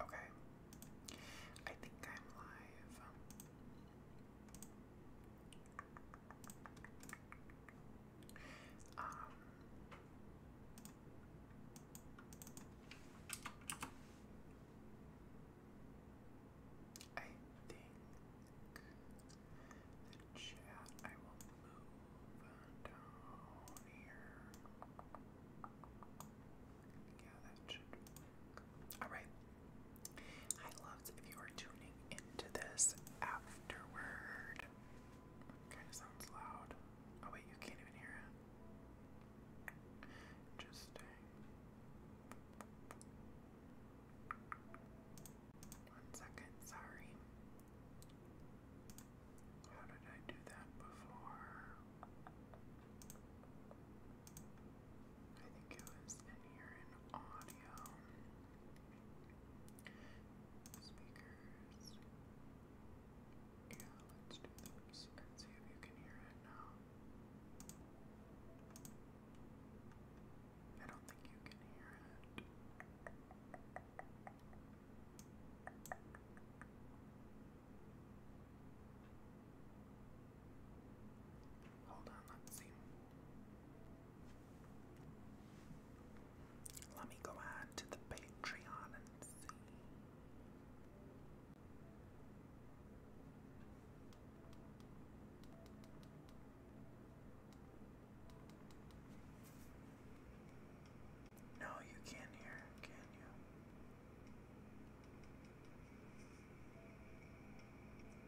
Okay. I think I'm live. Um, I think the chat I will move down here. Yeah, that should work. Alright. Hi loves, if you are tuning into this afterward. Okay, sounds loud. Oh wait, you can't even hear it. Interesting. One second, sorry. How did I do that before? I think it was in here in audio. Speakers. Yeah, let's do those and see if you can hear it now. I don't think you can hear it. Hold on, let's see. Let me go on to the Patreon and see. No, you can't hear can you?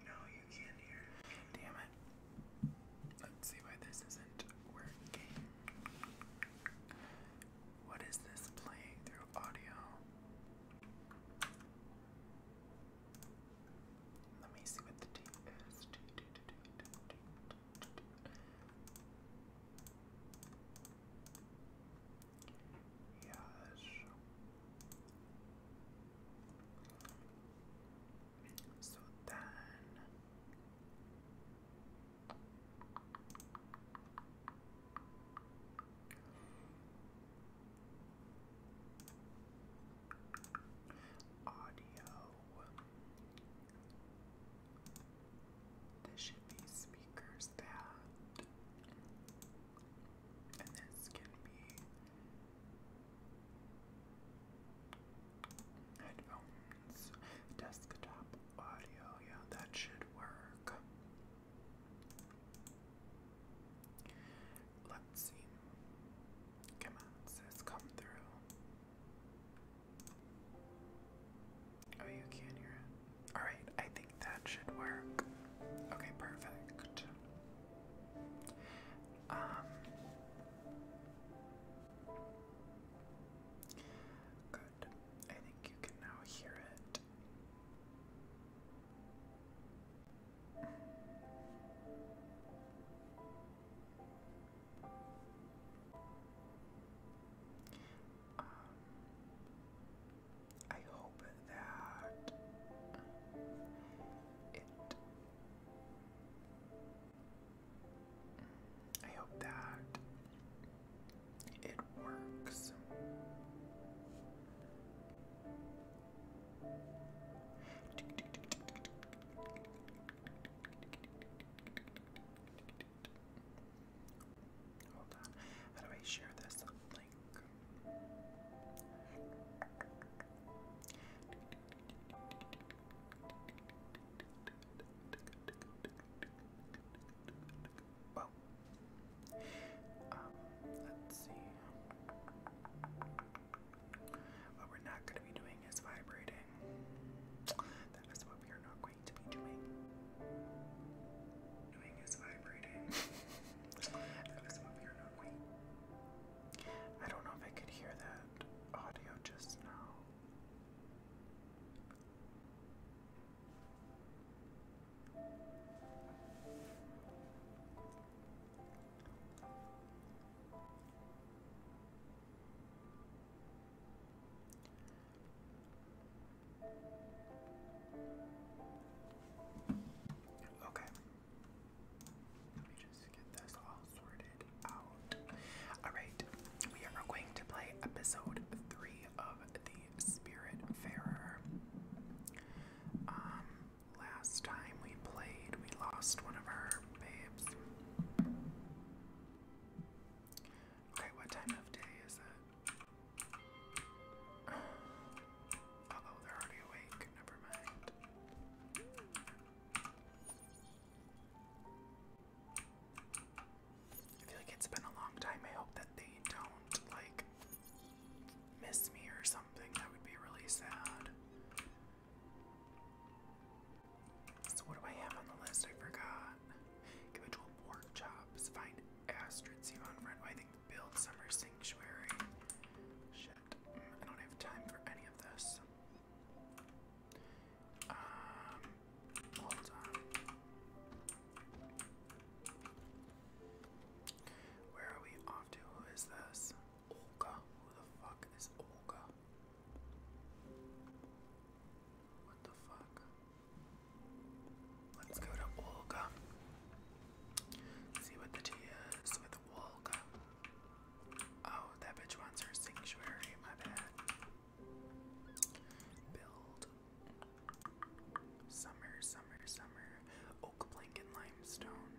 No, you can't hear Damn it. Let's see why this isn't working. What is this playing through audio? Let me see what the tape is. Yes. So then audio. This should be speakers that, and this can be it desktop audio. Yeah, that should work. Let's see. Come on, sis, come through. Oh, you can hear it. Alright, I think that should work. Okay, perfect. Um, Good. I think you can now hear it. Um, I hope that it I hope that it works. Hold on. How do I share this link? Well, um, let's see. What we're not going to be doing is vibrating. That is what we are not going to be doing. Doing is vibrating. that is what we are not going. I don't know if I could hear that audio just now. Okay. Alright, we are going to play episode 3 of The Spirit Farer. Um, last time we played, we lost one of our babes. Okay, what time of day is it? Uh, they're already awake. Never mind. I feel like it's been a long time. I hope that they don't like miss me or something. That would be really sad. So what do I have on the list? I forgot. Give it to pork chops. Find Astrid see on friend. I think build summer sanctuary. Shit. Mm, I don't have time for any of this. Where are we off to? Who is this? Olga. Who the fuck is Olga? What the fuck? Let's go to Olga. See what the tea is with Olga. Oh, that bitch wants her sanctuary, my bad. Build. Summer, summer, summer. Oak plank and limestone.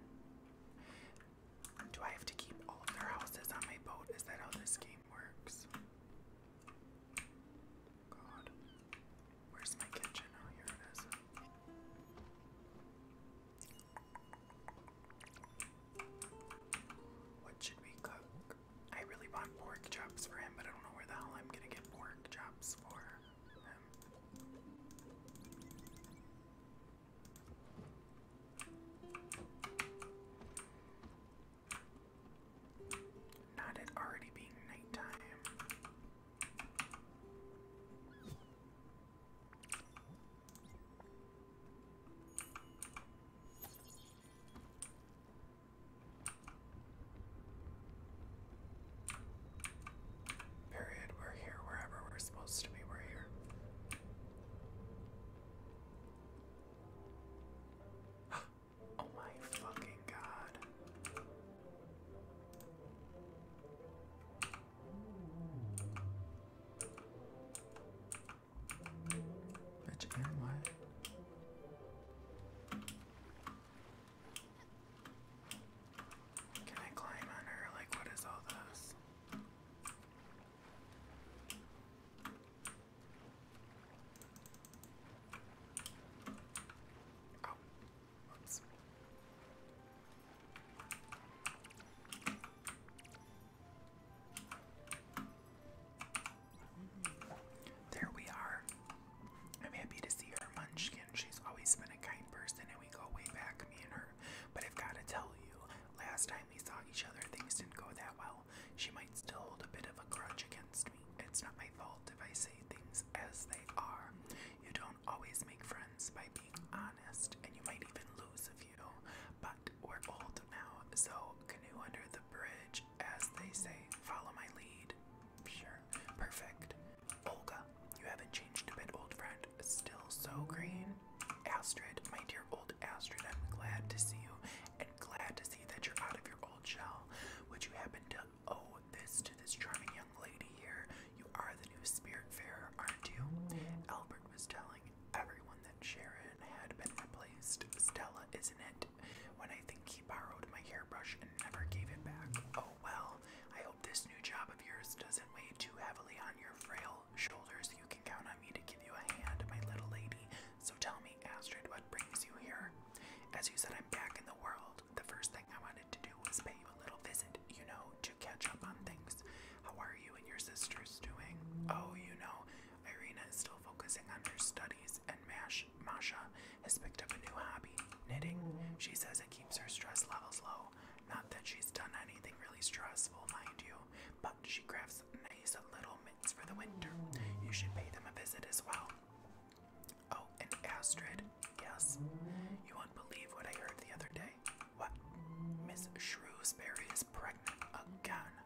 Do I have to keep all of their houses on my boat? Is that how this game works? God. Where's my kitchen? Oh, here it is. What should we cook? I really want pork chops for him, but I don't know where the hell I'm gonna get pork chops for him. Not it already being nighttime. Period. We're here wherever we're supposed to be. We're here. oh my fucking god. Rich and white. Can I climb on her? Like, what is all this? Oh, there we are. I'm happy to see her, Munchkin. She's always been a kind person, and we go way back, me and her. But I've got to tell you, last time we saw each other, things didn't go that well. She might still hold a bit of a grudge against me. It's not my fault if I say things as they are. You don't always make friends by being honest, and you might even lose a few. But we're old now, so canoe under the bridge, as they say. Follow my lead. Sure. Perfect. Olga, you haven't changed a bit, old friend. Still so green. Astrid, my dear old Astrid, I'm glad to see you and glad to see that you're out of your old shell. Would you happen to owe this to this charming young lady here? You are the new spirit fairer, aren't you? Albert was telling telling everyone that Sharon had been replaced. Stella isn't it? When I think he borrowed my hairbrush and never gave it back. Oh well, I hope this new job of yours doesn't weigh too heavily on your frail shoulders. You can count on me to give you a hand, my little lady. So tell me, Astrid, what brings you here? As you said, I'm back in the world. The first thing I wanted to do was pay you a little visit, you know, to catch up on things. How are you and your sisters doing? Oh, you know, Irina is still focusing on her studies, and Mash Masha has picked up a new hobby, knitting. She says it keeps her stress levels low. Not that she's done anything really stressful, mind you, but she crafts nice little mitts for the winter. You should pay them a visit as well. Oh, and Astrid, yes. You won't believe what I heard the other day. What? Miss Shrewsbury is pregnant again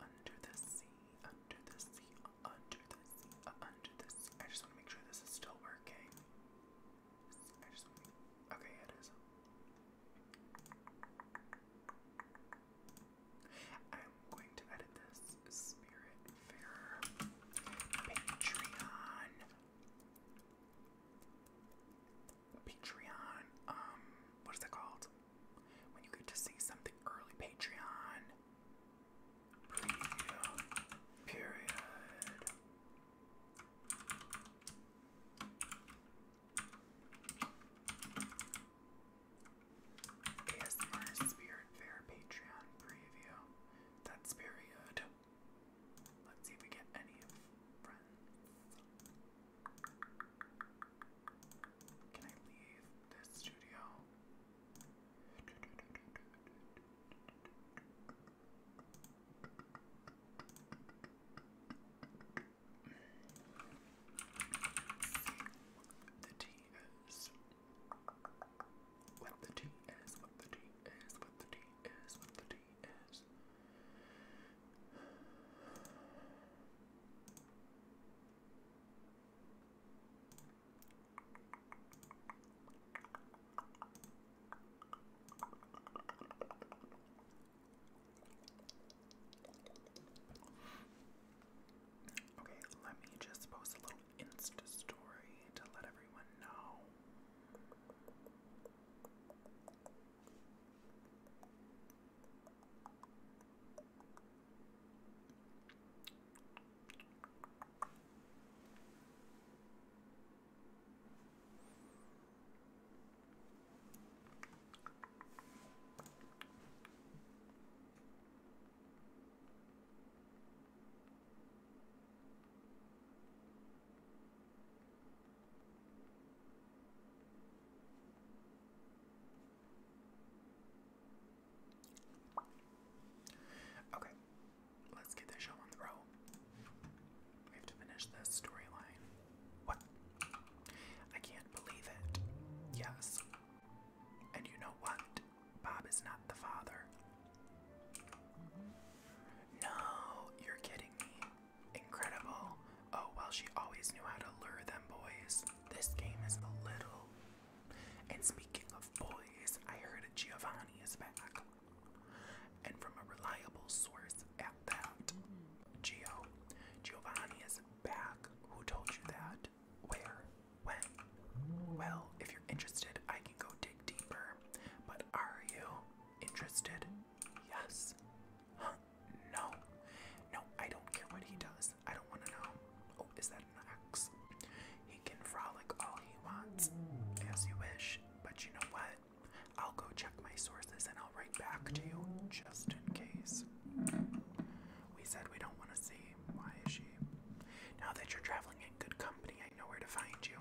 Under the sea, under the sea, under the sea, under the sea. I just want to make sure this is still working. I just Okay, it is. I'm going to edit this spirit fair Patreon Patreon, um, what is it called? When you get to see something early, Patreon preview period. ASMR Spirit Fair Patreon preview. That's period. Let's see if we get any of friends. Can I leave this studio? The tea what the tea is, what the tea is, what the tea is, what the tea is. Okay, let me just post a little Insta story to let everyone know. Okay, let's get this show on the road. We have to finish this storyline. What? I can't believe it. Yes. And you know what? Bob is not the father. No, you're kidding me. Incredible. Oh, well, she always knew how to lure them boys. This game is a little. And speaking of boys, I heard Giovanni is back. And from a reliable source at that. Gio. Giovanni is back. Who told you that? Where? When? Well, if you're interested, I can go dig deeper. But are you interested? Yes. No. No, I don't care what he does. I don't want to know. Oh, is that an axe? He can frolic all he wants, as you wish. But you know what? I'll go check my sources and I'll write back to you just in case. We said we don't want to see. Why is she? Now that you're traveling in good company, I know where to find you.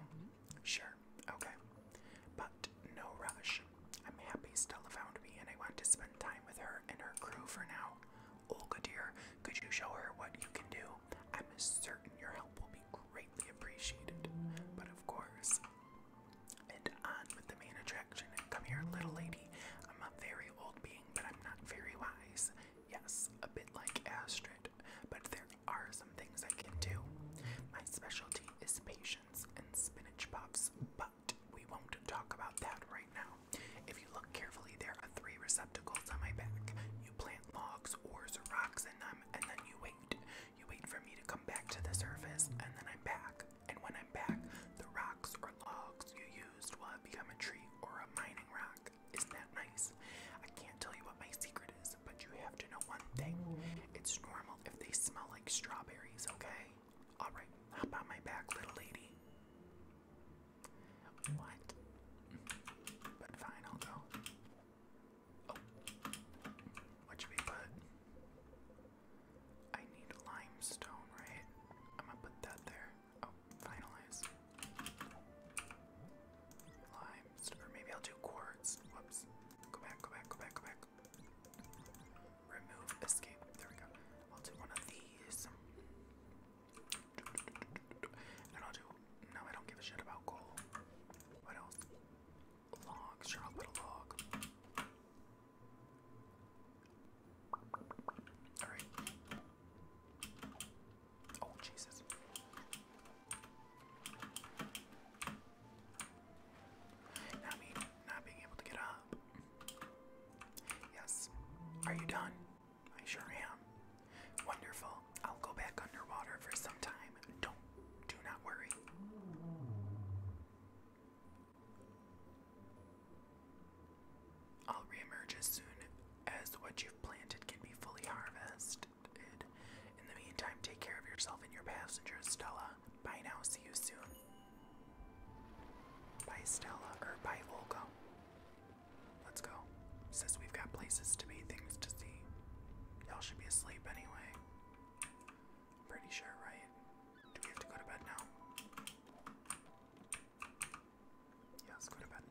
Sure, okay. But no rush. I'm happy Stella found me and I want to spend time with her and her crew for now. Olga dear, could you show her what you can do? I'm certain your help will be greatly appreciated. But of course. And on with the main attraction. Come here, little lady. I'm a very old being, but I'm not very wise. Yes, a bit like Astrid, but there are some things I can do. My specialty is patience and spinach puffs, but we won't talk about that right now. If you look carefully, there are three receptacles on my back. You plant logs or rocks in them, and then you wait. You wait for me to come back to the surface, and then I'm back. And when I'm back, the rocks or logs you used will have become a tree or a mining rock. Isn't that nice? I can't tell you what my secret is, but you have to know one thing. It's normal if they smell like strawberries, okay? Alright, hop on my back, little lady. What? But fine, I'll go. Oh. What should we put? I need limestone, right? I'm gonna put that there. Oh, finalize. Lime maybe I'll do quartz. Whoops. Go back, go back, go back, go back. Remove escape. There we go. I'll do one of these. And I'll do. No, I don't give a shit about coal. What else? Log. Sure, i log. Alright. Oh, Jesus. not being able to get up. Yes. Are you done? I sure am. Wonderful. I'll go back underwater for some time. Don't, do not worry. I'll reemerge as soon as what you've planted can be fully harvested. In the meantime, take care of yourself and your passengers, Stella. Bye now, see you soon. Bye, Stella, or bye, Olga. Let's go. Says we've got places to be, things to see. Y'all should be asleep anyway. Pretty sure, right? Do we have to go to bed now? Yeah, let's go to bed.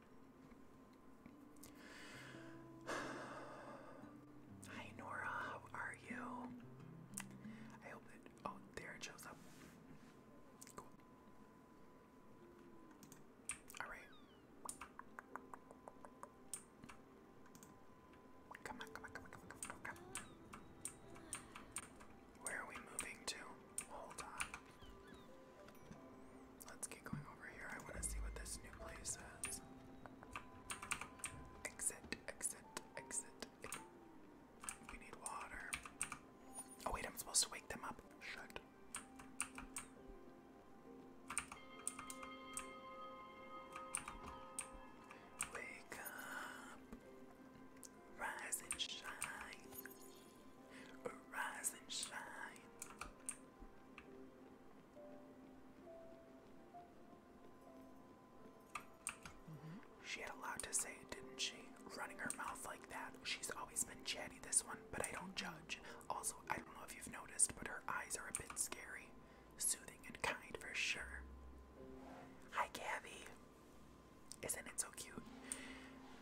Hi Nora, how are you? I hope that oh there it shows up. Alright. come on, come on, come on, come on, come on. Where are we moving to? Hold on. Let's get going over here. I want to see what this new place is. Exit, exit, exit. We need water. Oh, wait, I'm supposed to wake them up. Shut. Wake up. Rise and shine. Rise and shine. Mm-hmm. She had a lot to say, didn't she? Running her mouth like that. She's always been chatty, this one, but I don't judge. Also, I don't know if you've noticed, but her eyes are a bit scary. Soothing and kind for sure. Hi, Gabby. Isn't it so cute?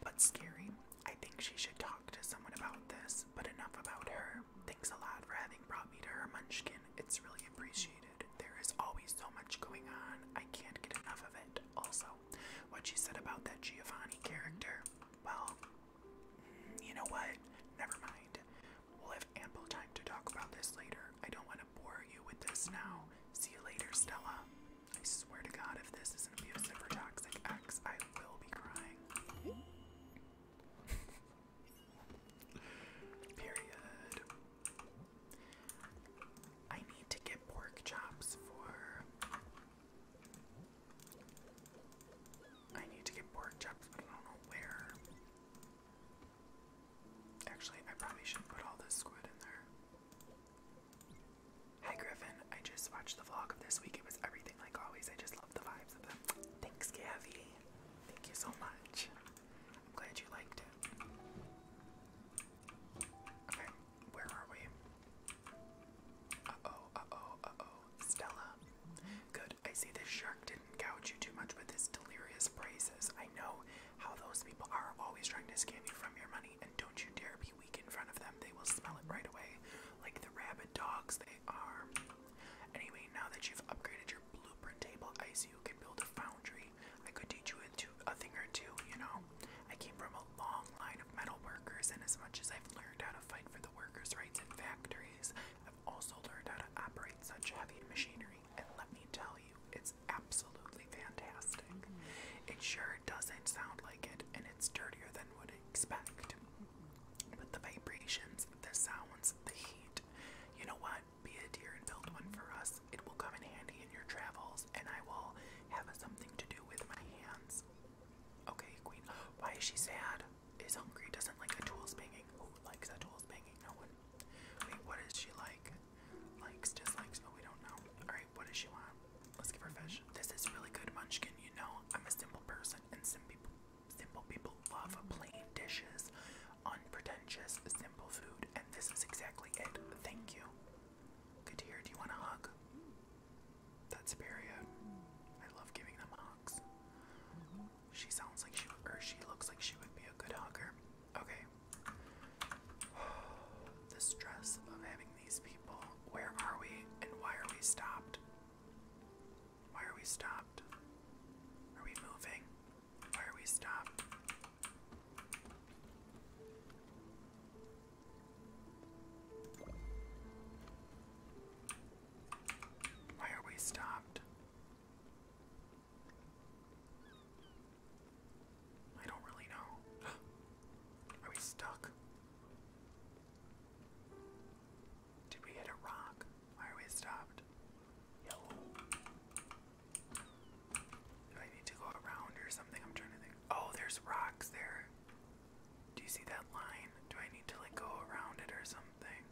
But scary. I think she should talk to someone about this, but enough about her. Thanks a lot for having brought me to her, Munchkin. It's really appreciated. There is always so much going on. I can't get enough of it. Also, what she said about that Giovanni character, well, you know what? Never mind. We'll have ample time to talk about this later. I don't want to bore you with this now. See you later, Stella. I swear to God, if this is an abusive or toxic ex, I will be crying. Period. I need to get pork chops for. I need to get pork chops, but I don't know where. Actually, I probably should put all this squid in there. Hi Griffin, I just watched the vlog of this week. It was everything like always. I just love the vibes of them. Thanks, Gabby. Thank you so much. I'm glad you liked it. Okay, where are we? Uh-oh, oh oh Stella. Good, I see this shark didn't gouge you too much with his delirious praises. I know how those people are always trying to scam you from your money, and don't you dare be weak in front of them. They will smell it right away. Like the rabid dogs they are. Anyway, now that you've upgraded your blueprint table, I see you can build a foundry. I could teach you a, a thing or two, you know? I came from a long line of metal workers, and as much as I've learned how to fight for the workers' rights in factories, I've also learned how to operate such heavy machinery. And let me tell you, it's absolutely fantastic. It sure doesn't sound like it, and it's dirtier than would expect. But the vibrations, the sounds, the heat. You know what? Be a dear and build one for us. It will come in handy in your travels, and I will have something to do with my hands. Okay, Queen. Why is she sad? Is hungry? Doesn't like the tools banging. Who likes the tools banging? No one. Wait, what is she like? Likes, dislikes? but we don't know. All right, what does she want? Let's give her fish. This is really good, Munchkin. You know, I'm a simple person, and simple people, Simple people love plain dishes, unpretentious, simple food, and this is exactly it. Thank you. Good to Do you want a hug? That's Superior. Uh, I love giving them hugs. She sounds like she or she looks like she would be a good hugger. Okay. The stress of having these people. Where are we and why are we stopped? Why are we stopped? Are we moving? Why are we stopped? Why are we stopped? I don't really know. Are we stuck? Did we hit a rock? Why are we stopped? Yo. Do I need to go around or something? I'm trying to think. Oh, there's rocks there. Do you see that line? Do I need to like go around it or something?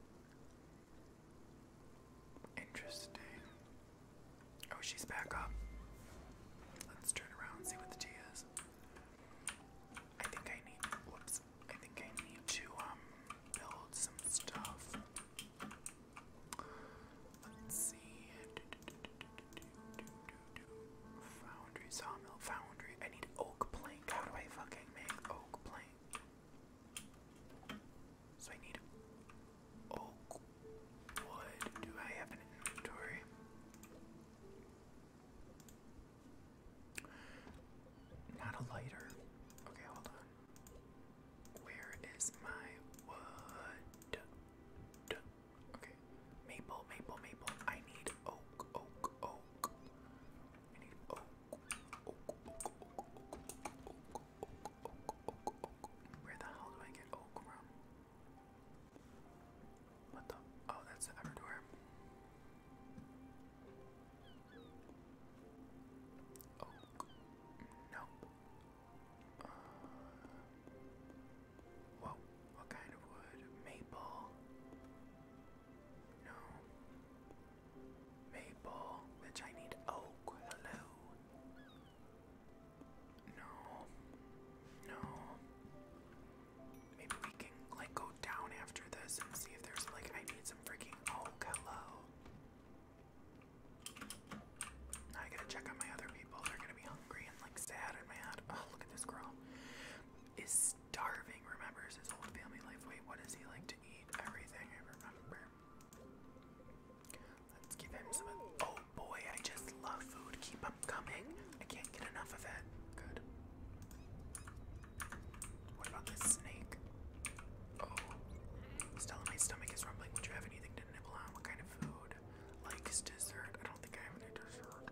Interesting. Oh, she's back up. Let's turn around and see what the tea is. I think I need. Whoops. I think I need to um, build some stuff. Let's see. Foundry, sawmill, foundry. I need oak plank. How do I fucking make oak plank? So I need oak wood. Do I have an inventory? Not a lighter. Okay, hold on. Where is my wood? Okay. Maple, maple, maple. I need oak, oak, oak. I need oak. Oak, oak, oak, oak, oak, oak, oak, oak, oak. Where the hell do I get oak from? What the? Oh, that's the Everdor. Oh, no. Uh, what kind of wood? Maple. No. Maple, which I need oak. Hello. No. No. Maybe we can like go down after this and see if there's like I need some freaking oak. Hello. I gotta check on my other people. They're gonna be hungry and like sad and mad. Oh, look at this girl. Is starving, remembers his old family life. Wait, what does he like to eat? Everything I remember. Let's give him some. Oh boy, I just love food. Keep them coming. I can't get enough of it. Good. What about this snake? Oh. Still, my stomach is rumbling. Would you have anything to nibble on? What kind of food? Likes dessert? I don't think I have any dessert.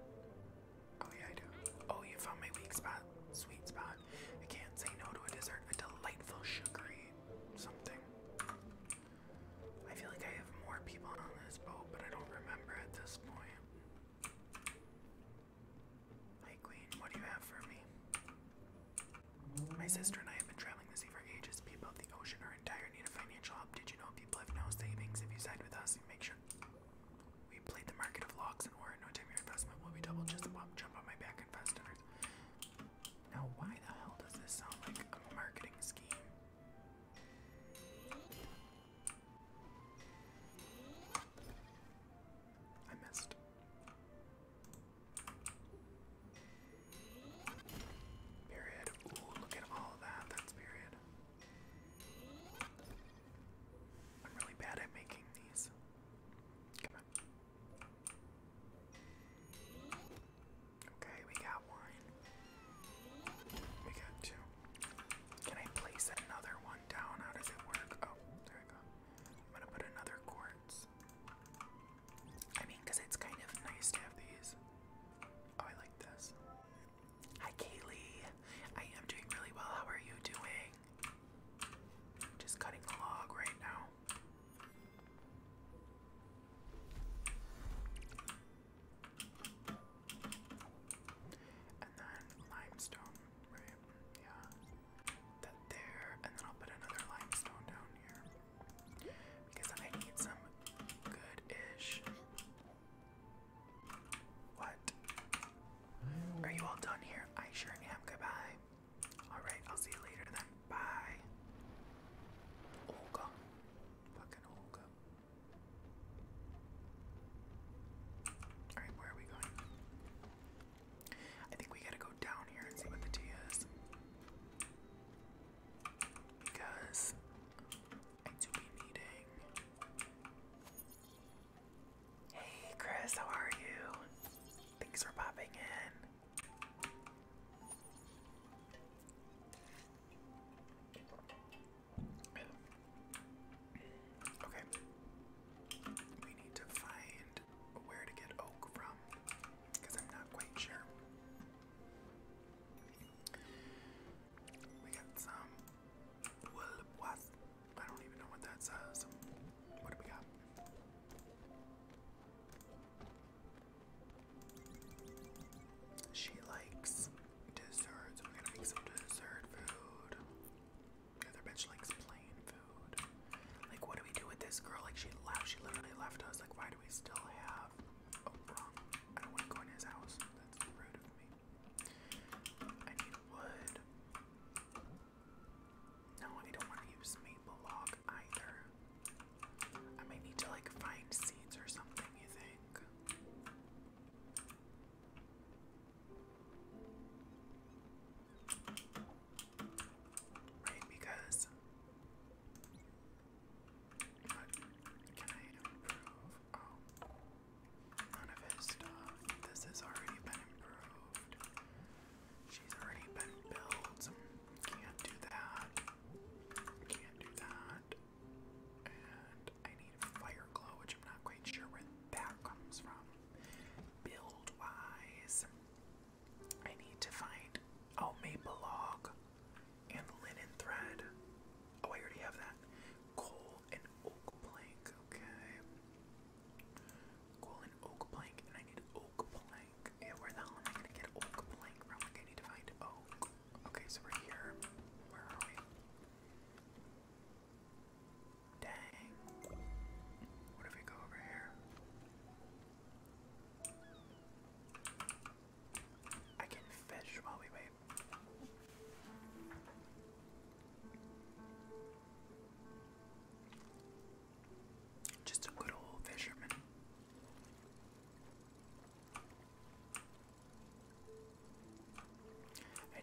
Oh, yeah, I do. Oh, you found my weak spot. Sweet spot. I can't say no to a dessert. A delightful sugary something. I feel like I have more people on this boat, but I don't remember at this point. Hey Queen, what do you have for me? My sister and I have been traveling the sea for ages. People of the ocean are in dire need of financial help. Did you know people have no savings? If you side with us, you make sure we played the market of locks and war. No time your investment will be double. Just a jump on my back and fast dinners. Now, why the hell does this sound like a marketing scheme? I missed. Period. Ooh, look at all that. That's period. I'm really bad at making these. Okay, we got one. We got two. Can I place another one down? How does it work? Oh, there we go. I'm gonna put another quartz. I mean, it's kind of nice to have these. Oh, I like this. Hi, Kaylee. I am doing really well. How are you doing? Just cutting the log right now. And then limestone, right? Yeah that there, and then I'll put another limestone down here because I need some good-ish. What? Are you all done here? I sure am. Goodbye. All right, I'll see you later then. Bye. Olga, fucking Olga. All right, where are we going? I think we gotta go down here and see what the tea is. Because I do be Hey Chris, how are you? Thanks for popping in. Okay. We need to find where to get oak from because I'm not quite sure. We got some I don't even know what that says. What do we got? She likes desserts. We're gonna make some dessert food. Other bitch likes plain food. Like, what do we do with this girl? Like, she left. She literally left us. Like, why do we still have? Oh, wrong. I don't want to go in his house. That's rude of me. I need wood. No, I don't want to use maple log either. I might need to like find seeds or something. You think? Right, because can I improve? Oh, none of his stuff. This has already been improved. She's already been built. Can't do that. Can't do that. And I need fire glow, which I'm not quite sure where that comes from. Build wise. I need to find, a oh, maple log and linen thread. Oh, I already have that. Coal and oak plank, okay. Coal and oak plank, and I need oak plank. Yeah, where the hell am I gonna get oak plank from? I need to find oak. Okay, so we're here. Where are we? Dang. What if we go over here? I can fish while we wait. Just a good old fisherman. I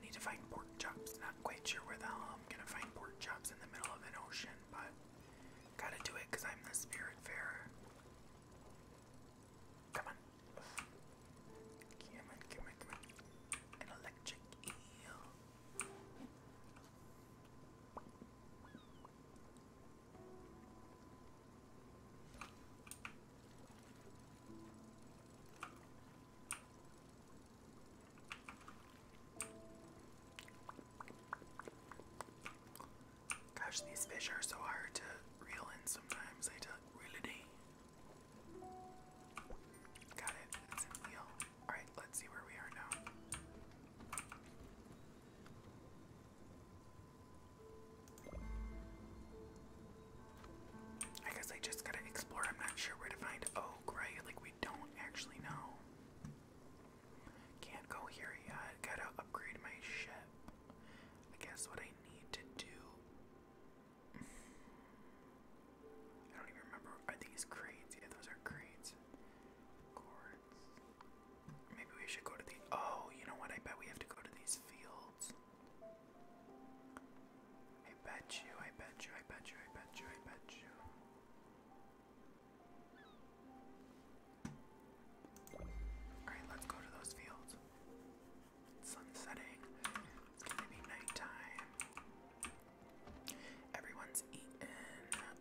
need to find pork chops. Not quite sure where the hell I'm gonna find pork chops in the middle of an ocean, but Gotta do it because I'm the spirit fairer. Come on. Come on, come on, come on. An electric eel. Gosh, these fish are so hard to reel in sometimes. I tell really do. Got it. That's All right, let's see where we are now. I guess I just gotta explore. I'm not sure where to find oak, right? Like, we don't actually know. Can't go here yet. Gotta upgrade my ship. I guess what I need to do. I don't even remember. Are these crates? Yeah, those are crates. Cords. Maybe we should go to the. Oh, you know what? I bet we have to go to these fields. I bet you, I bet you, I bet you, I bet you, I bet you. Alright, let's go to those fields. Sun It's gonna be nighttime. Everyone's eaten.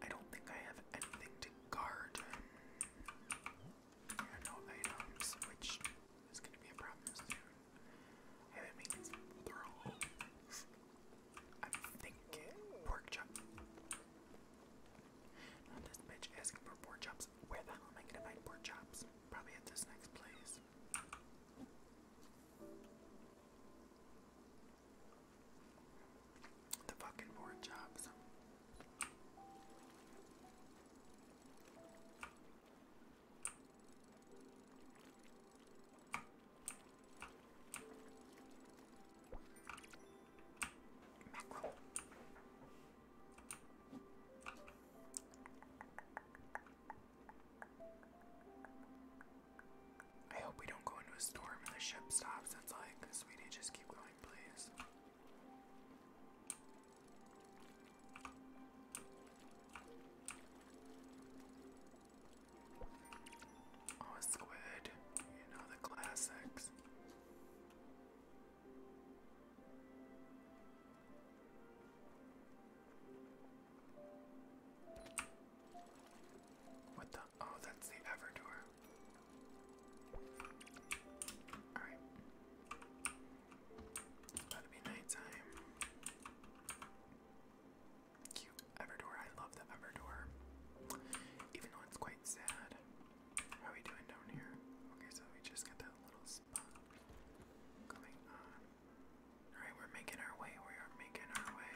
I don't think I have anything to garden. Yeah, no items, which is gonna be a problem soon. haven't made these throw. I'm pork chop. this bitch asking for pork chops. Where the hell am I gonna find pork chops? Probably at this next place. The fucking pork chops. Mackerel. I hope we don't go into a storm and the ship stops. It's like, sweetie, just keep going, please. Oh, Squid, you know the classics. What the? Oh, that's the Everdoor. Alright. about to be nighttime. Cute Everdor. I love the Everdor. Even though it's quite sad. How are we doing down here? Okay, so we just got that little spot going on. Alright, we're making our way. We are making our way.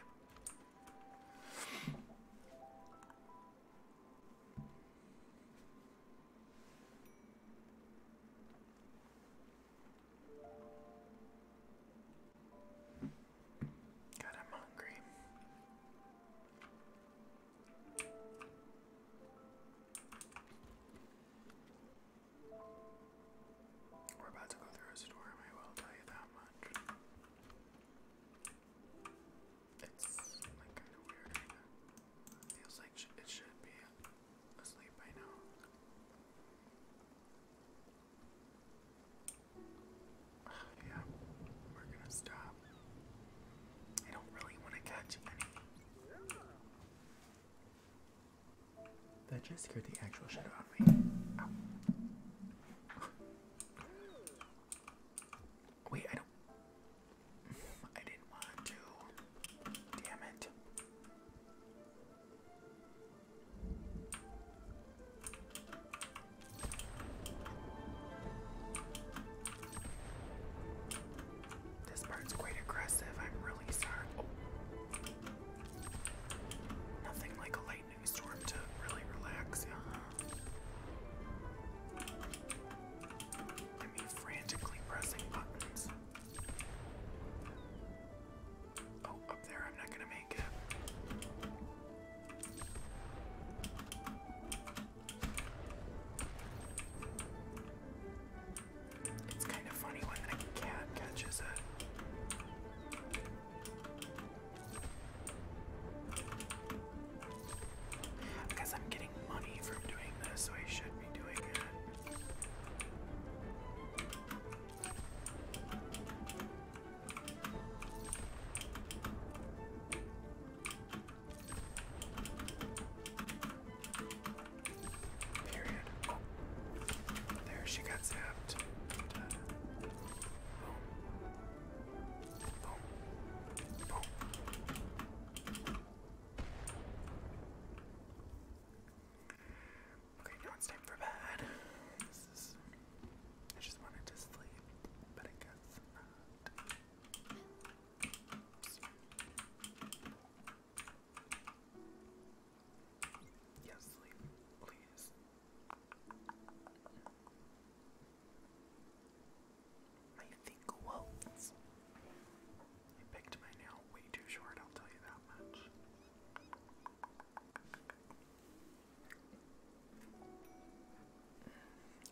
God, I'm hungry. We're about to go through a storm, I will tell you that much. It's like kind of weird Feels like it should be asleep by now. Yeah, we're gonna stop. I don't really want to catch any. That just scared the actual shit out of me. Wait, I don't. I didn't want to. Damn it. This bird's quite aggressive. I'm really sorry. Oh. Nothing like a lightning storm to really relax I mean, frantically pressing buttons. Oh, up there, I'm not gonna make it. It's kind of funny when a cat catches it. Because I'm getting money from doing this, so I should be doing it. Period. There, she got zapped. Boom. Boom. Boom. Okay, now it's time for bed. This is I just wanted to sleep, but I guess Yes, sleep, please. My thing I picked my nail way too short, I'll tell you that much.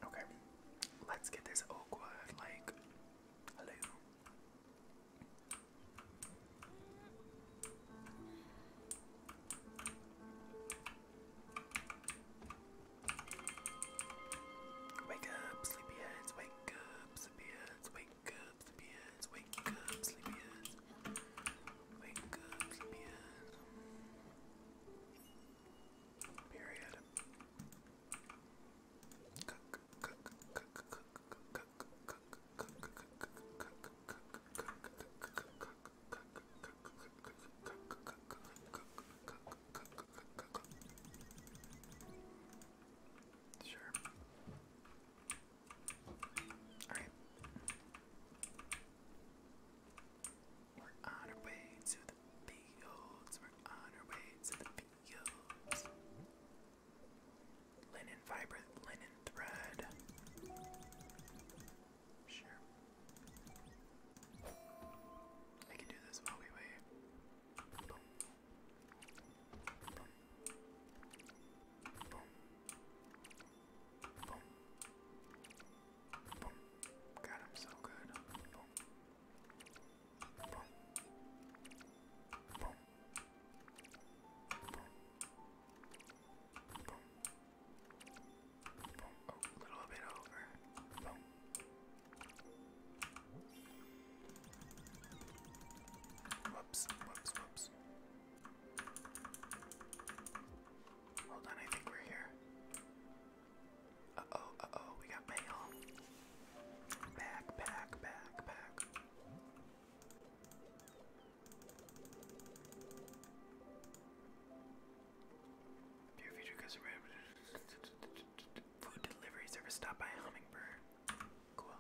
Okay, let's get this awkward. Like, hello. Wake up, sleepyheads. Wake up, sleepyheads. Wake up, sleepyheads. Wake up, sleepyheads. Wake up, sleepyheads. Period. Cook, cook, cook, cook, cook, cook, cook, cook, cook, Sure. All right. We're on our way to the fields. We're on our way to the fields. Linen fiber, linen thread. Sure. I can do this while we wait. Boom. Got so good. Oh, a little bit over. Whoops, whoops, whoops. Hold on, I think we're here. Uh oh, uh oh, we got mail. Back, back, back, back. Dear future customer, food delivery service Stop by Hummingbird. Cool.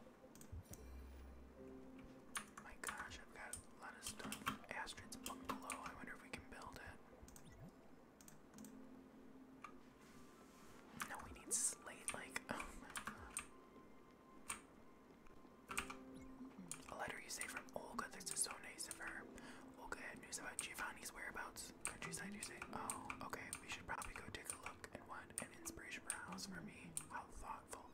My gosh, I've got a lot of stuff. Astrid's bungalow. I wonder if we can build it. No, we need slate, like, oh A letter you say from Olga, this is so nice of her. Olga had news about Giovanni's whereabouts. Countryside, you say, oh, okay, we should probably go take a look. And what an inspiration for house for me. How thoughtful.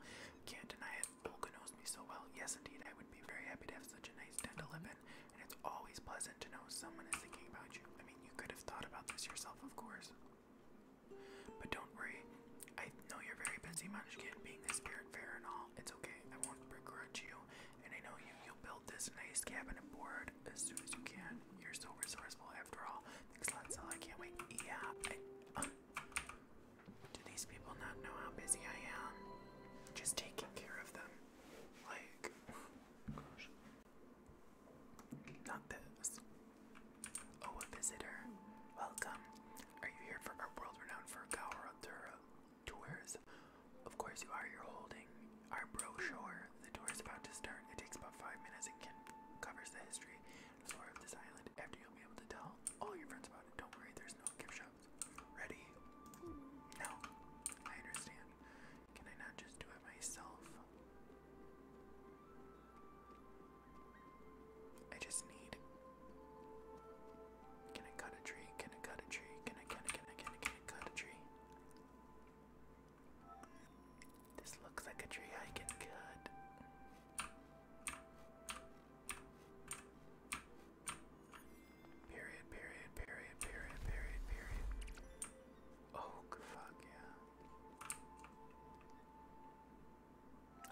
Can't deny it. Olga knows me so well. Yes, indeed, I would be very happy to have such a nice tent to live in and it's always pleasant to know someone is thinking about you. I mean, you could have thought about this yourself, of course. But don't worry, I know you're very busy, Munchkin, being the spirit fair and all. It's okay, I won't begrudge you, and I know you, you'll build this nice cabin and board as soon as you can. You're so resourceful after all. Thanks I can't wait. Yeah, uh, do these people not know how busy I am? Just taking care of them like, Not this. Oh, a visitor. Welcome. Are you here for our world-renowned Furgaura tours? Of course you are. You're holding our brochure. The tour is about to start. It takes about five minutes and can covers the history of this island. After you'll be able to tell all your friends about it. Don't worry, there's no gift shop Ready? No. I understand. Can I not just do it myself? I just need. Can I cut a tree? Can I cut a tree? Can I, can I, can I, can I, cut a tree? This looks like a tree I can cut. Period, period, period, period, period, period. Oh, fuck yeah.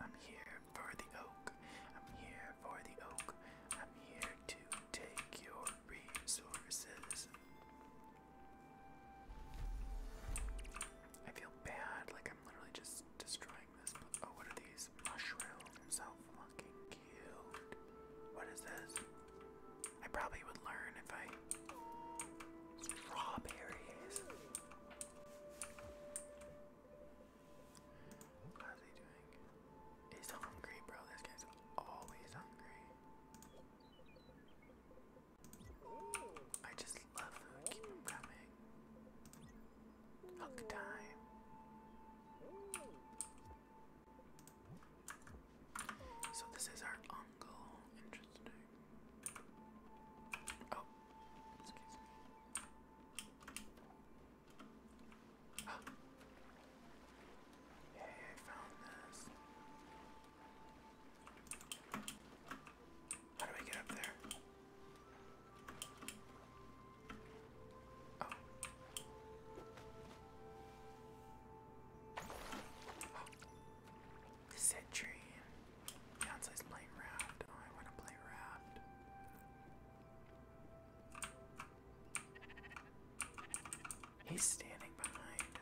I'm here for the oak. I'm here for the oak. I'm here to take your resources. I feel bad, like I'm literally just destroying this. Oh, what are these mushrooms? How fucking what is this? I probably would learn if I strawberries. How's he doing? He's hungry, bro. This guy's always hungry. I just love food. Keep him coming. Hook time. So this is our uncle. Interesting. Oh, excuse me. Hey, ah. I found this. How do I get up there? Oh. Oh. Beyonce's playing Raft. Oh, I want to play Raft. He's standing behind.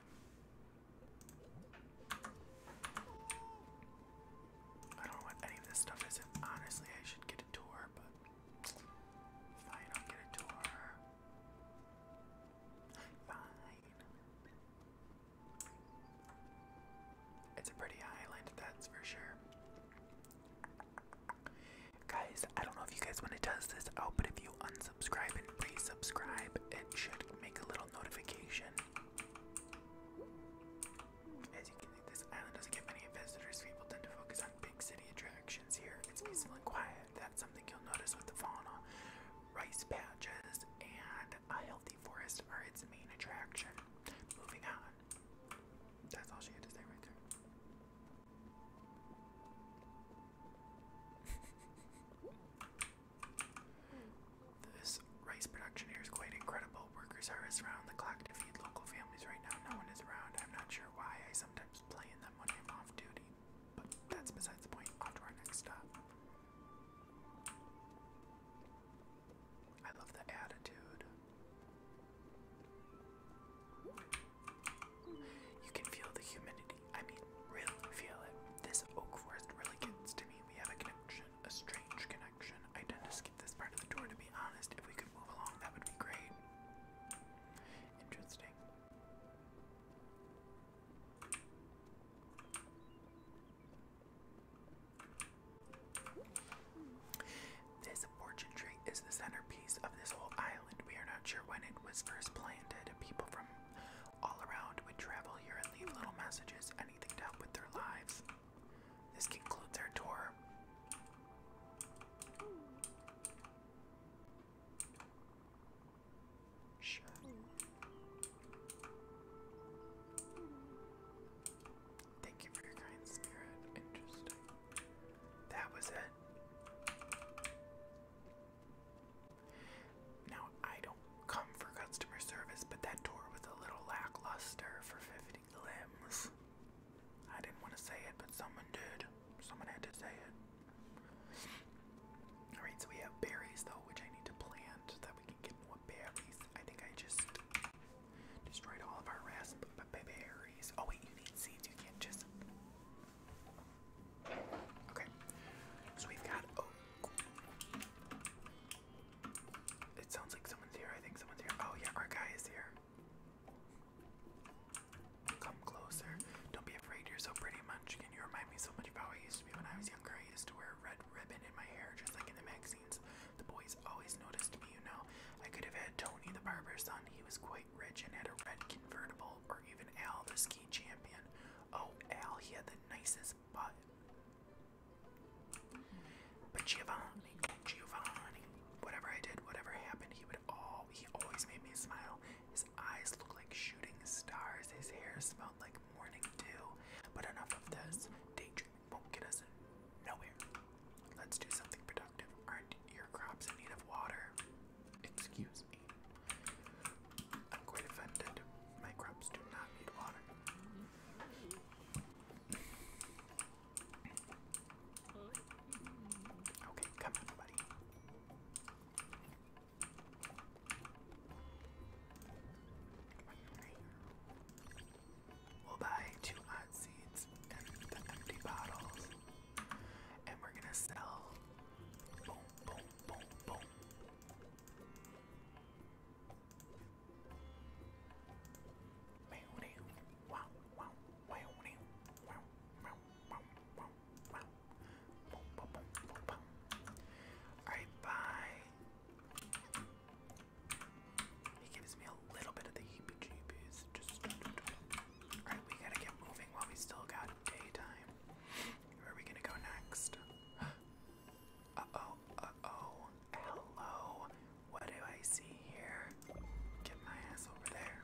I don't know what any of this stuff is, honestly, I should get a tour, but if I don't get a tour, Fine. It's a pretty island, that's for sure. Guys, I don't know if you guys want to test this out, but if you unsubscribe and resubscribe, it should make a little notification. As you can see, this island doesn't get many visitors. People tend to focus on big city attractions here. It's peaceful and quiet that's something you'll notice with the fauna. Rice patches and a healthy forest are its main attraction. Moving on. That's all she had to say right there. this rice production here is quite incredible. Workers harvest around the clock to feed local families right now. No one is around. I'm not sure why. I sometimes play in the when I'm off duty, but that's besides the point. On to our next stop. I love the attitude. You can feel the humidity. I mean, really feel it. This oak forest really gets to me. We have a connection, a strange connection. I tend to skip this part of the tour, to be honest. If we could move along, that would be great. Interesting. This fortune tree is the centerpiece of this whole island. We are not sure when it was first planted. People from all around would travel here and leave little messages, anything to help with their lives. This concludes our tour. Sure. Thank you for your kind spirit. Interesting. That was it. Now, I don't come for customer service, but that tour was a little lackluster for 50 limbs. I didn't want to say it, but someone did. Someone had to say it. Alright, so we have berries though, which I need to plant so that we can get more berries. I think I just destroyed all of our raspberries. Oh wait, you need seeds, you can't just Okay. So we've got oak. It sounds like someone's here. I think someone's here. Oh yeah, our guy is here. Come closer. Don't be afraid, you're so pretty, Munchkin. You remind me so much of how I used to be when I was younger. I used to wear a red ribbon in my hair, just like in the magazines. The boys always noticed me, you know. I could have had Tony, the barber's son. He was quite rich and had a red convertible, or even Al, the ski champion. Oh, Al, he had the nicest butt. But Giovanni, Giovanni, whatever I did, whatever happened, he would all, he always made me smile. His eyes look like shooting stars. His hair smelled like morning dew. But enough of this. Daydreaming won't get us nowhere. Let's do something productive. are your crops in need of water? Excuse me. I'm quite offended. My crops do not need water. Okay, come on, buddy. We'll buy two hot seeds and the empty bottles. And we're gonna sell Alright, bye. He gives me a little bit of the heebie jeebies. Just. Alright, we gotta get moving while we still got daytime. Where are we gonna go next? Uh oh, uh oh. Hello. What do I see here? Get my ass over there.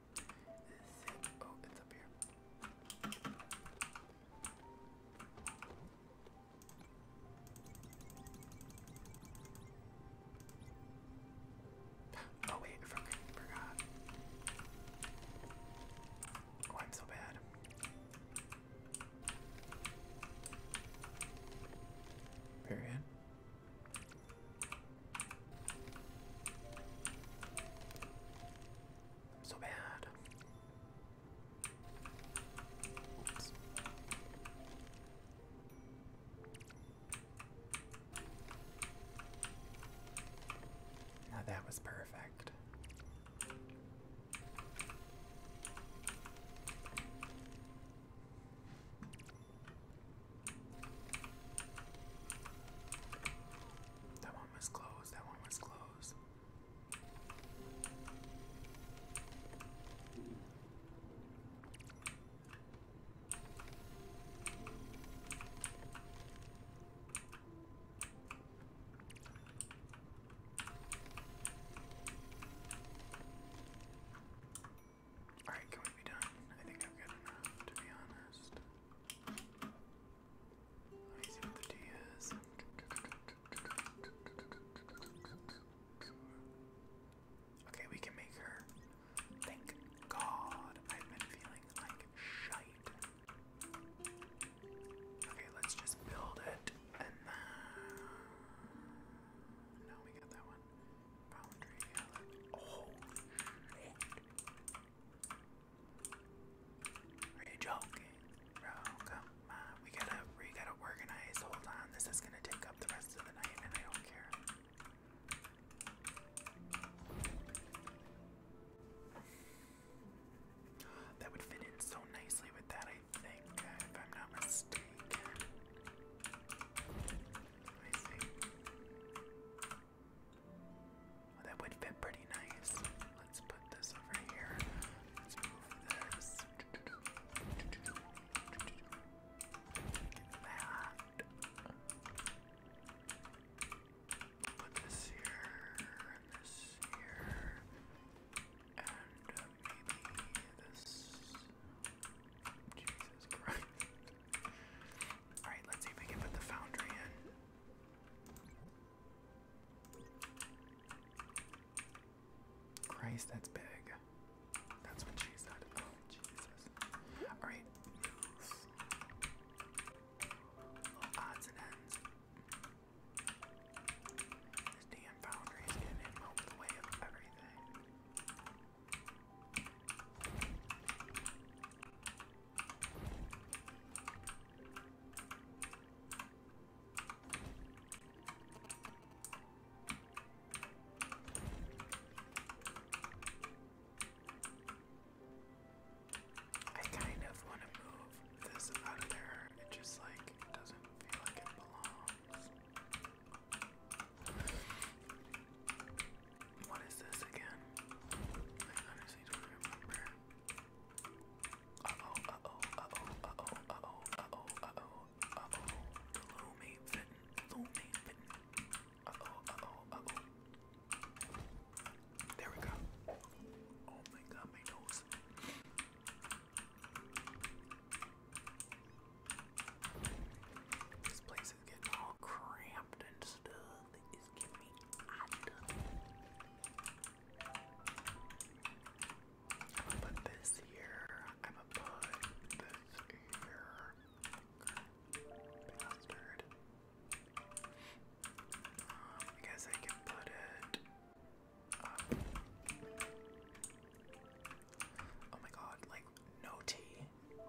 Oh, oh, wait, forgot. Oh, I'm so bad. Period. So bad. Now that was perfect. That one was closed. That one was closed. Alright, can we be done? I think I've got enough, to be honest. Let me see what the tea is. Okay, we can make her. Thank God. I've been feeling like shite. Okay, let's just build it No, we got that one. Boundary Oh you Bro, come on. We gotta we gotta organize. Hold on, this is gonna take up the rest of the night and I don't care. That would fit in so nicely with that, I think, if I'm not mistaken. Well, that would fit pretty nice. Let's put this over here. Let's move this. Get that. Put this here, and this here, and uh, maybe this. Jesus Christ. Alright, let's see if we can put the foundry in. Christ, that's big. That's what she said. Oh, Jesus. Alright, odds and ends. This damn foundry is getting in the way of everything. I kind of want to move this out of there. It just like doesn't feel like it belongs. What is this again? I honestly don't remember. Uh oh, uh oh, uh oh, uh oh, uh oh, uh oh, uh oh, uh oh. Lomain fitting, Lomain fitting. Uh oh, uh oh, uh oh. There we go. Oh my god, my nose. This place is getting all cramped and stuff lovely this here. I'm gonna put this here. Bastard. Um, I can put it Oh my god, like no tea.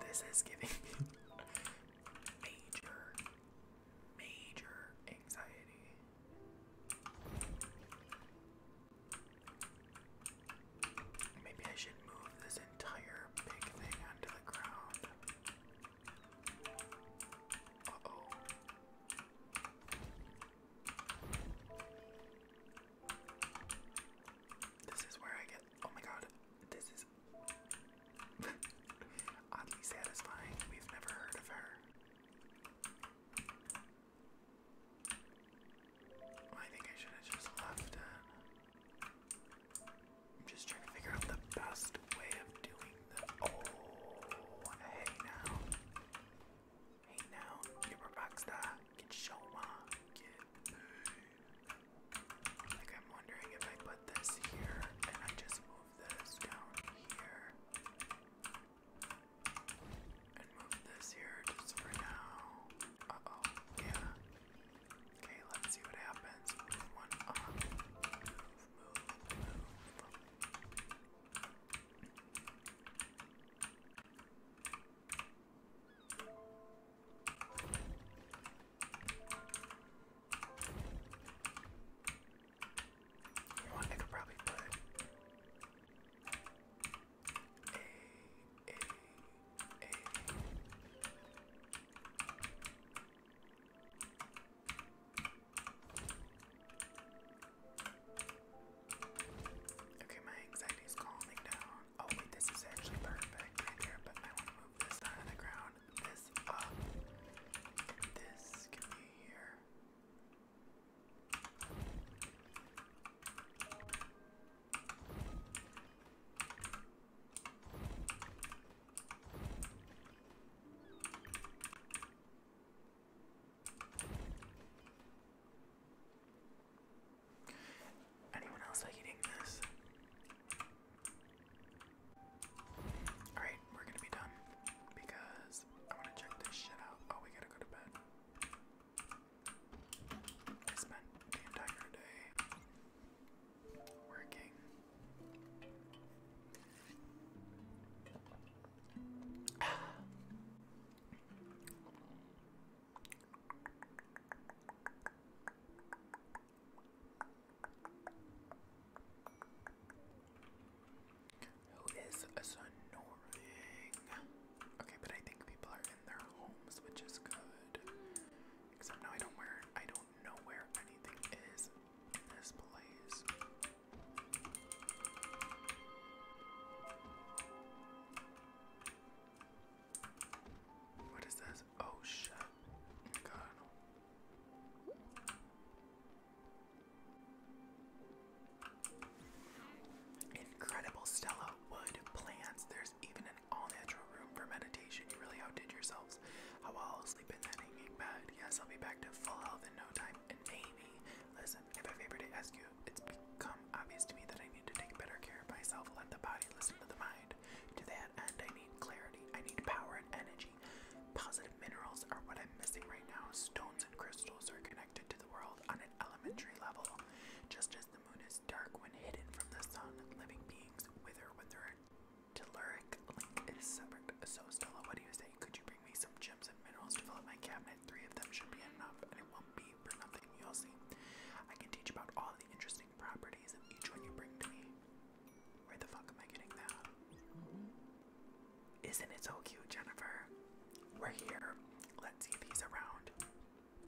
This is giving me major, major anxiety. Maybe I should move this entire big thing onto the ground. Uh oh. This is where I get. Oh my god. This is oddly satisfying. We've never heard of her. I think I should have just left it. Uh, I'm just trying to figure out the best way of doing this. Oh, hey now. Hey now, you're a Get your Get like, I'm wondering if I put this here and I just move this down here and move this here just for now. Uh oh, yeah. Okay, let's see what happens. one I could probably put Okay, my anxiety is calming down. Oh wait, this is actually perfect right but I want to move this down to the ground this This uh, can be here. Anyone else like eating this? Alright, we're gonna be done because I wanna check this shit out. Oh, we gotta go to bed. I spent the entire day working. Who is snoring? Okay, but I think people are in their homes, which is good. Except now I don't where I don't know where anything is in this place. What is this? Oh shit. God. Incredible Stella wood plants. There's even an all-natural room for meditation. You really outdid yourselves. I'll sleep in that hanging bed. Yes, I'll be back to full health in no time. And maybe, listen, if I favor to ask you, it's become obvious to me that I need to take better care of myself. Let the body listen to the mind to that end. I need clarity. I need power and energy. Positive minerals are what I'm missing right now. Stones and crystals are connected to the world on an elementary level. Just as the moon is dark when hidden from the sun, living beings wither when their teluric link is severed. So, Stella, what do you say? Could you bring me some gems and minerals to fill up my cabinet? Three of them should be enough, and it won't be for nothing. You'll see. I can teach about all the interesting properties of each one you bring to me. Where the fuck am I getting that? Mm-hmm. Isn't it so cute, Jennifer? We're here. Let's see if he's around.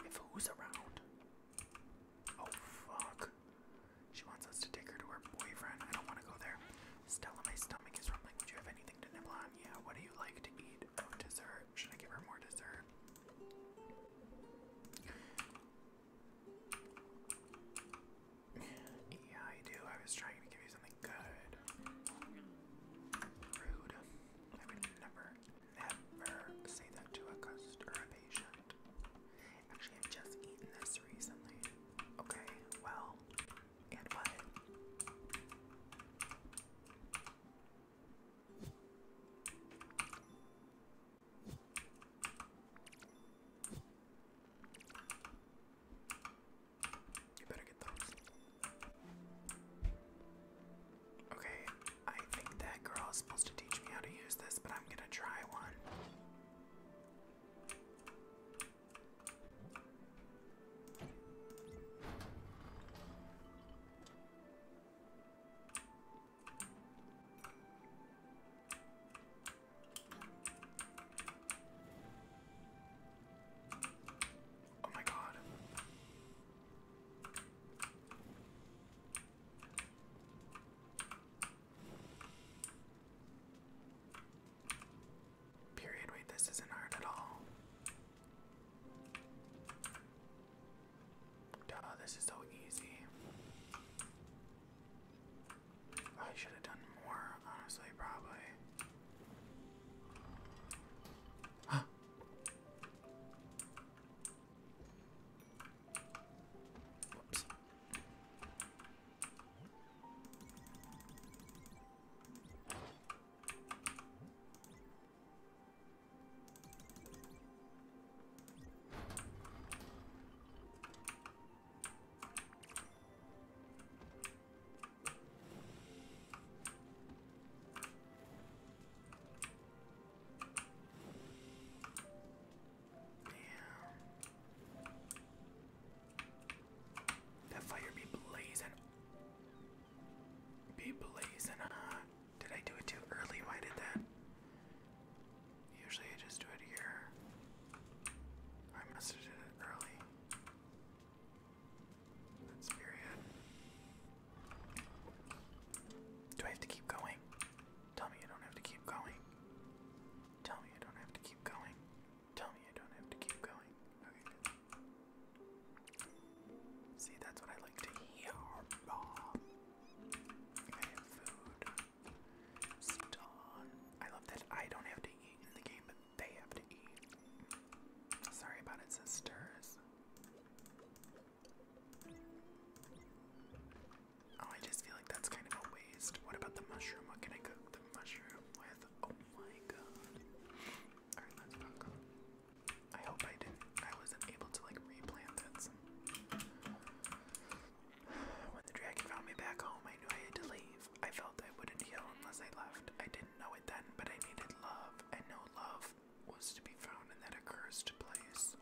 If who's around? Oh fuck. She wants us to take her to her boyfriend. I don't want to go there. Stella, my stomach is rumbling. Would you have anything to nibble on? Yeah, what do you like to eat? Oh, dessert. Should I give her more dessert? Yeah, I do. I was trying to give you something good. Rude. I would never, never say that to a customer or a patient. Actually, I've just eaten this recently. Okay, well, and what? You better get those. Okay, I think that girl is supposed to teach me how to use this, but I'm gonna try one. Oh my god. Period, wait, this isn't hard at all. Duh, this is so easy. I should have done more, honestly, probably. That fire be blazing. Be blazing hot. Did I do it too early? Why did that? Usually I just do it here. I must have did it early. That's period. Do I have to keep going? Tell me you don't have to keep going. Tell me I don't have to keep going. Tell me I don't have to keep going. Okay, See, that's what I like to hear. I food. Ston. I love that I don't have to eat in the game, but they have to eat. Sorry about it, sisters. Oh, I just feel like that's kind of a waste. What about the mushroom? What can I cook the mushroom with? Oh my god. Alright, let's back I hope I didn't. I wasn't able to like replant it. When the dragon found me back home, I knew I had to leave. I felt I wouldn't heal unless I left. I didn't know it then, but I needed love, and no love was to be found in that cursed place.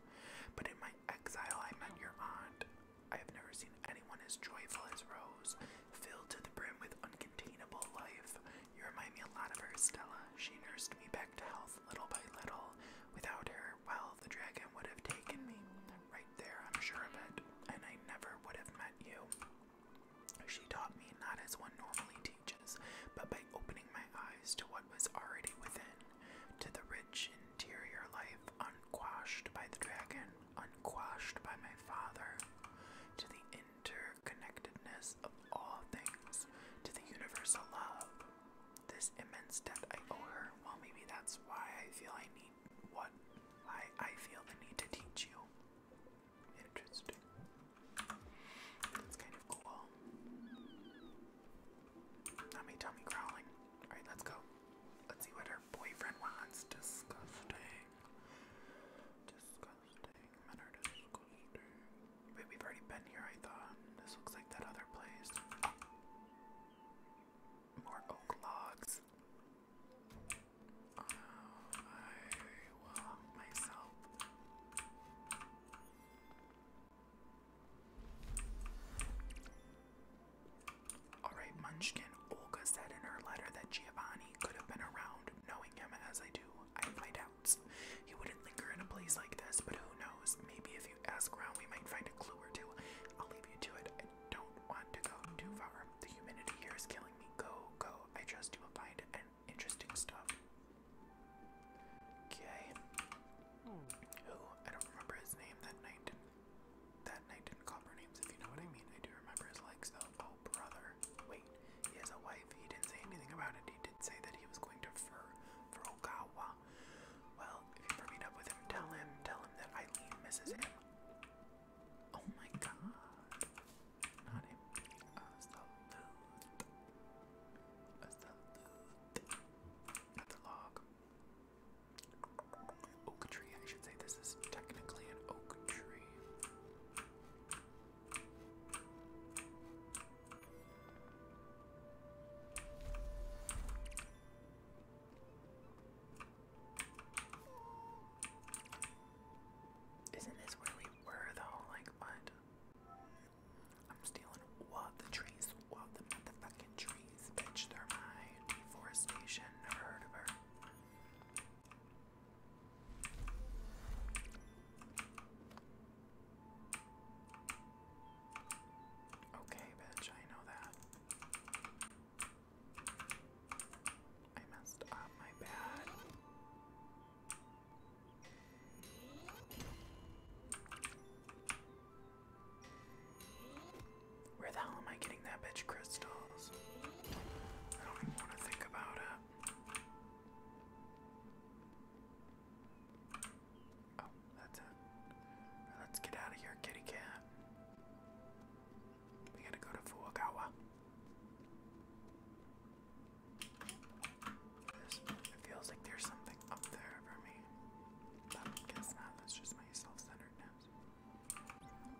But in my exile, I met your aunt. I have never seen anyone as joyful as Rose, filled to the brim with uncontainable life. You remind me a lot of her, Stella. She nursed me back to health little by little. Without her, well, the dragon would have taken me right there, I'm sure of it, and I never would have met you. She taught me not as one normally teaches, but by opening my eyes to what was already within, to the rich interior life unquashed by the dragon, unquashed by my father, to the interconnectedness of all things, to the universal love. This immense debt I owe her, well, maybe that's why I feel I need what I I feel the need to teach you. Interesting. That's kind of cool. Mommy, tummy growling. All right, let's go. Let's see what her boyfriend wants. Disgusting. Disgusting. Men are disgusting. Wait, we've already been here. I thought this looks like that other place. More oak logs. Alright, Munchkin. Olga said in her letter that Giovanni could have been around. Knowing him as I do, I have my He wouldn't linger in a place like this, but who knows? Maybe if you ask around, we might find a clue or two. I'll leave you to it don't want to go too far. The humidity here is killing me. Go, go. I just do find interesting stuff. Okay. Who? Hmm. I don't remember his name that night. that night didn't call for names, if you know what I mean. I do remember his legs though. Oh, brother. Wait, he has a wife. He didn't say anything about it. He did say that he was going to Fur Furukawa. Well, if you've ever up with him, tell him, tell him that Eileen misses him. Oh my god. Not him. Hasta luego. Hasta luego. That's a log. Oak tree. I should say this is technically an oak tree. Isn't this where we were though? Like what? I'm stealing what the trees, what the motherfucking trees, They're my deforestation. Never heard of her. Okay, bitch, I know that. I messed up, my bad. Where the hell am I getting that bitch crystals? I don't even want to think about it. Oh, that's it. Let's get out of here, kitty cat. We gotta go to Fuagawa. it feels like there's something up there for me. guess not, that's just my self-centeredness.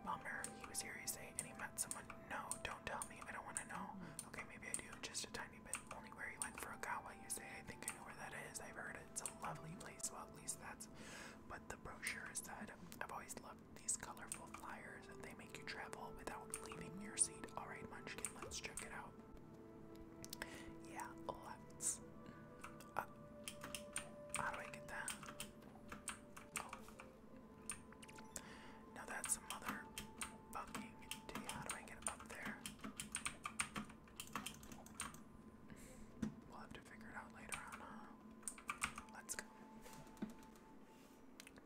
Bummer, he was here, you say, and he met someone. No, don't tell me, I don't wanna know. Okay, maybe I do, just a tiny bit. Only where he went for Agawa, you say, I think I know where that is, I've heard It's a lovely place, well at least that's but the brochure said, I've always loved these colorful flyers. They make you travel without leaving your seat. Alright, Munchkin, let's check it out. Yeah, let's. Uh, how do I get that? Oh. Now that's some other bugging How do I get up there? We'll have to figure it out later on. Let's go. I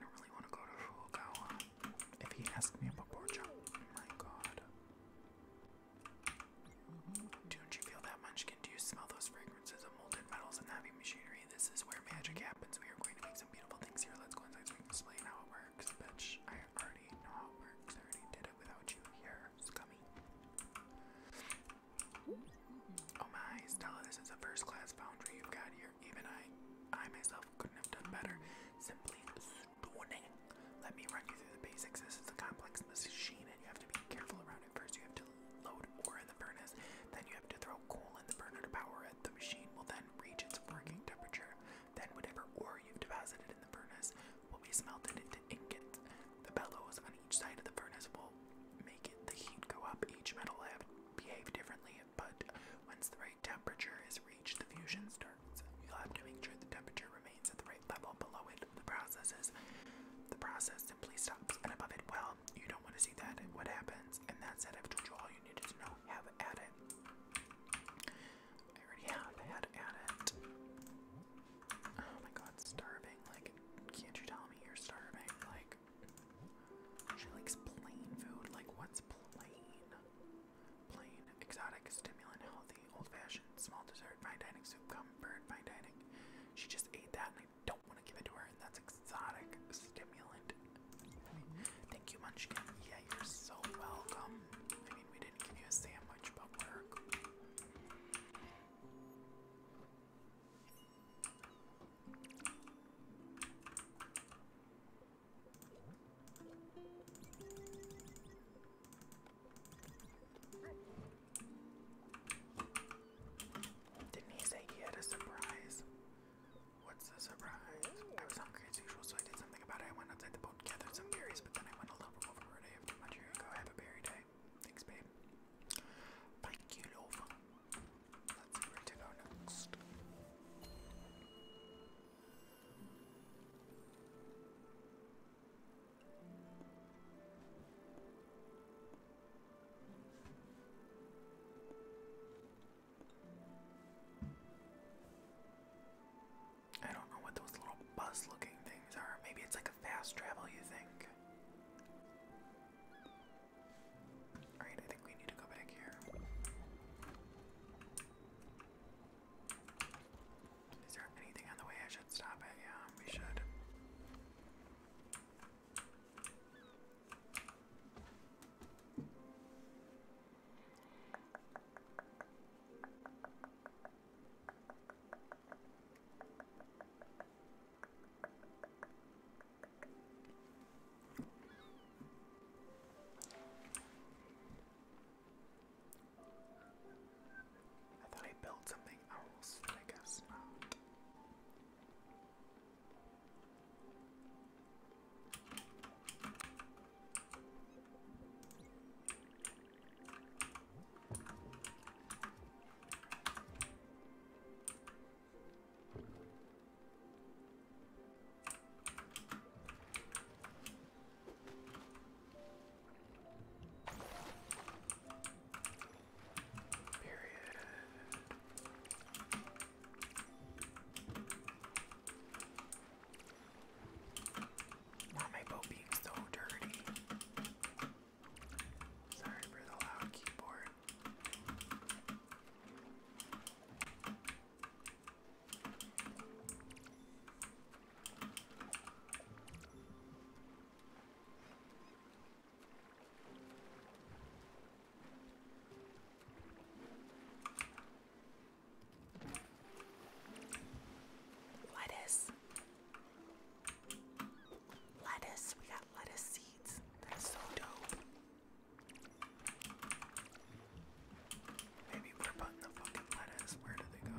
don't really want to go to Furukawa. If he asked me about Borja, my god. Don't you feel that munchkin? Do you smell those fragrances of molded metals and heavy machinery? This is where magic happens. We are going to make some beautiful things here. Let's go inside explain how it works. Bitch, I already know how it works. I already did it without you here. Oh my, Stella, this is a first class foundry you've got here. Even I, I myself couldn't have done better. Simply stunning. Let me run you through the basics. This is a complex machine and you have to be careful around it. First you have to load ore in the furnace, then you have to throw coal in the burner to power it. The machine will then reach its working temperature. Then whatever ore you've deposited in the furnace will be smelted into ingot. The bellows on each side of the furnace will make the heat go up. Each metal will behave differently, but once the right temperature is reached, the fusion starts. You'll have to make sure the temperature remains at the right level below it. The process is the process simply stops and above it. Well, you don't want to see that. What happens? And that it. I've told you all you needed to know. Have at it. I already have had at it. Oh my god, starving. Like, can't you tell me you're starving? Like, she likes plain food. Like, what's plain? Plain, exotic, stimulant, healthy, old fashioned, small dessert, fine dining, soup, comfort, fine dining. She just ate that and I don't want to give it to her, and that's exotic, stimulant. I mean, thank you, Munchkin. Yeah, you're so welcome. I mean, we didn't give you a sandwich, but we're didn't he say he had a surprise? What's the surprise? I was hungry as usual, so I did something about it. I went outside the boat, gathered some berries, but then I went a little overboard. I babe. Why do go have a berry day? Thanks, babe. Thank you, love. Let's see where to go next. I don't know what those little bus looking things are. Maybe it's like a fast travel, you think? Alright, I think we need to go back here. Is there anything on the way I should stop at? Yeah, we should. I thought I built something else, but I guess not. Period. Why am boat being so dirty? Sorry for the loud keyboard. Lettuce. Lettuce, we got lettuce seeds. That's so dope. Maybe we're putting the fucking lettuce. Where do they go?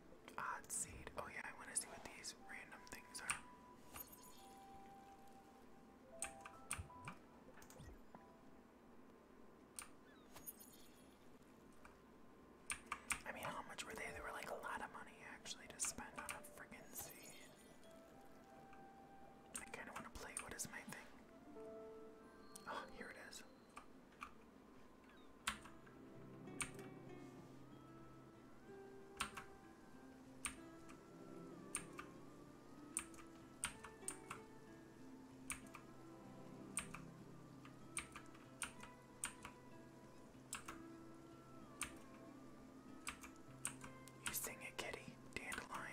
Odd seed. Oh yeah, I want to see what these random things are. I mean, how much were they? They were like a lot of money actually to spend on a friggin' seed. I kind of want to play. What is my thing? Oh, here it is. You sing it, kitty, dandelion.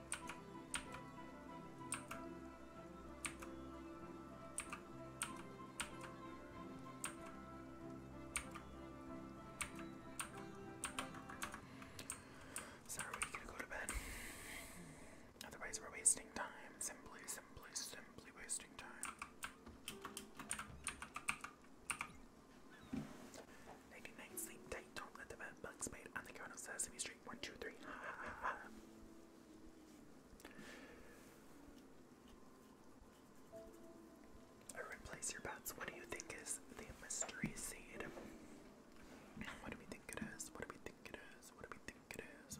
So we gonna go to bed? Otherwise we're wasting time. Simply, simply, simply wasting time. Naked night, sleep tight, don't let the bed bugs bite on the count of Sesame Street. One, two, three. Ha, ha, Replace your bets. What do you think is the mystery seed? What do we think it is? What do we think it is? What do we think it is?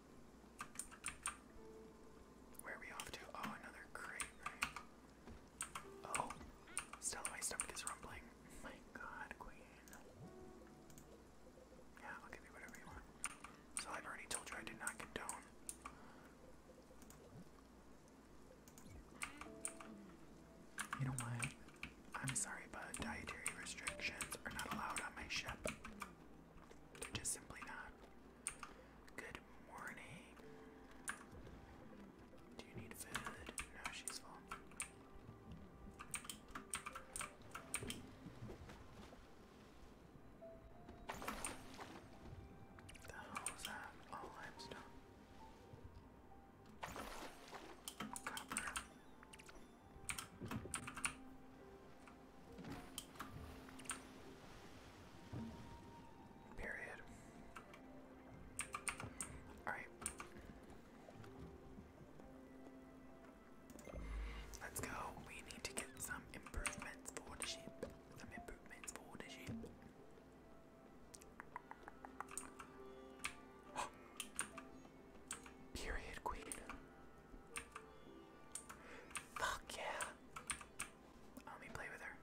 Where are we off to? Oh, another crate, Oh, still my stomach is rumbling. My god, Queen. Yeah, I'll give you whatever you want. So I've already told you I did not condone. You know what? I'm sorry, but dietary restrictions are not allowed on my ship. They're just simply not. Good morning. Do you need food? No, she's full. The hell's that? All limestone. Copper. Period. All right. Let's go. We need to get some improvements for the ship. Some improvements for the ship. Period, Queen. Fuck yeah. Let me play with her.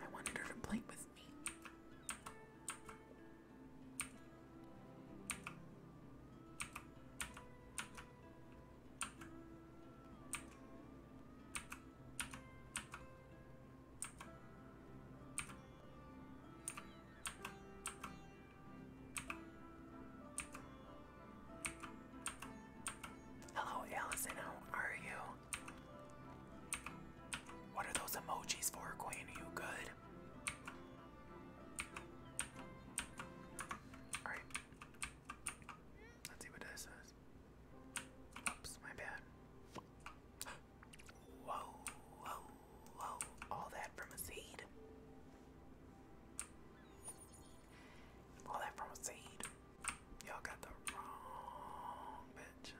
I wanted her to play with me. Hello, Allison. How are you? What are those emojis for, Queen? Are you good? Alright. Let's see what this is. Oops, my bad. Whoa, whoa, whoa. All that from a seed. All that from a seed. Y'all got the wrong bitch.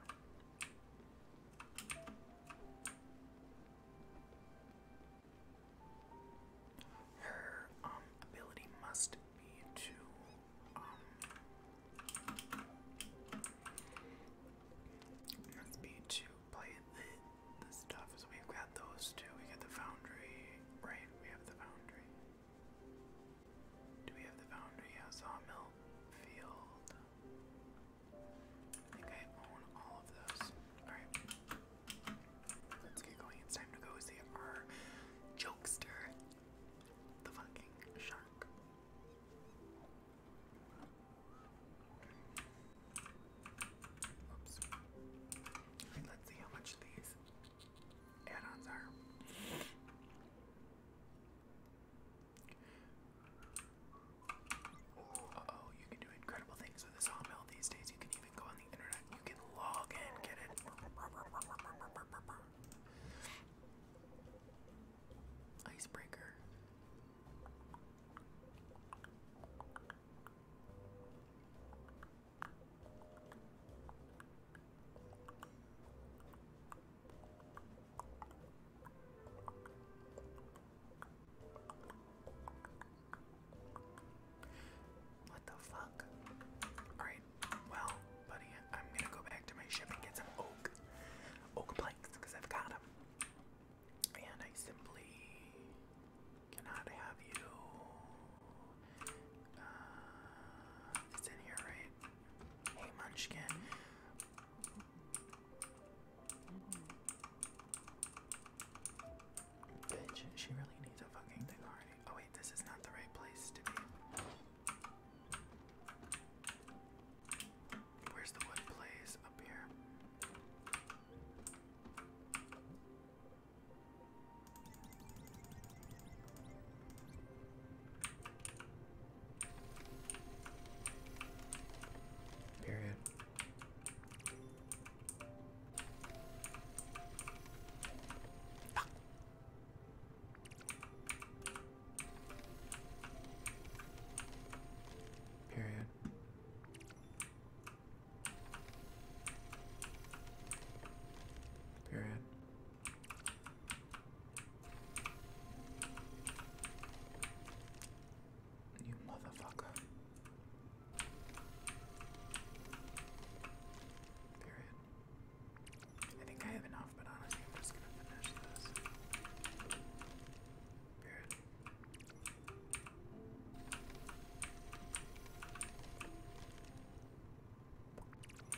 Her um, ability must be to must be to play the, the stuff. So we've got those two. We got the foundry, right? We have the foundry. Do we have the foundry? Yeah, sawmill field. I think I own all of those. Alright. Let's get going. It's time to go see our jokester. The fucking shark. Oops. let's see how much these add-ons are. oh, you can do incredible things with a sawmill these days. You can even go on the internet. You can log in, get it. Icebreaker. What the fuck? Alright, well, buddy, I'm gonna go back to my ship and get some oak, oak planks, because I've got them. And I simply cannot have you. Uh, it's here, right? Hey, Munchkin. Bitch, she really needs a fucking thing already. Oh wait, this is not the right place to be. Where's the wood place? Up here. Period. Period. Period. You motherfucker. Period. I think I have enough, but honestly, I'm just gonna finish this.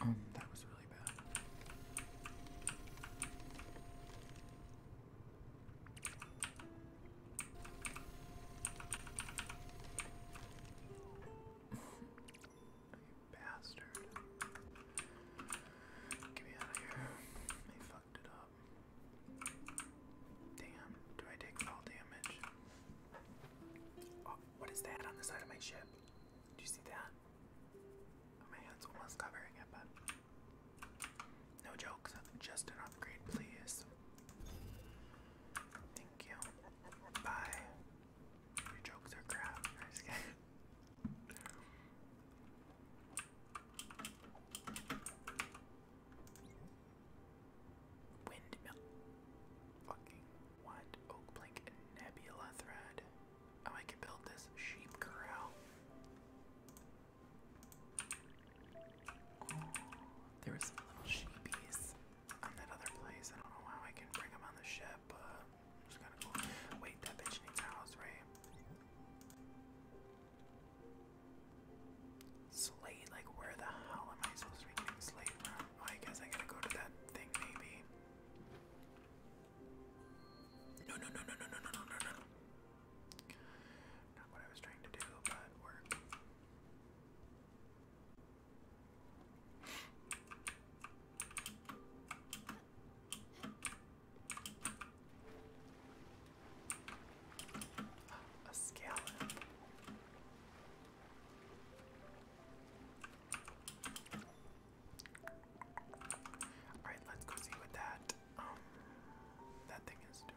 Um, that was really bad bastard. Get me out of here. They fucked it up. Damn, do I take fall damage? Oh, what is that on the side of my ship? Do you see that? Oh, my hand's almost covering it, but. No jokes, just an upgrade, please. Thank you. Bye. Your jokes are crap. Nice guy. Windmill. Fucking what? Oak plank nebula thread. Oh, I can build this sheep corral. Oh, there were some little sheepies on that other place. I don't know how I can bring them on the ship, but Wait, that bitch needs a house, right? Slate, like where the hell am I supposed to be slate oh, I guess I gotta go to that thing, maybe. No, no, no, no, no, no, no, no, no, no. Not what I was trying to do, but work. A scallop. Alright, let's go see what that um that thing is doing.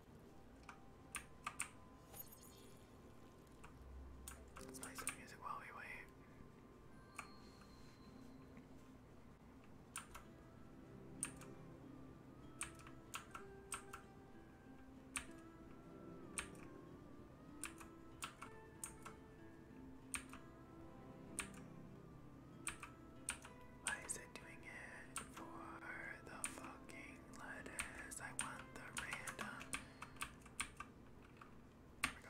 Let's play some music while we wait. Why is it doing it for the fucking letters. I want the random. There we go.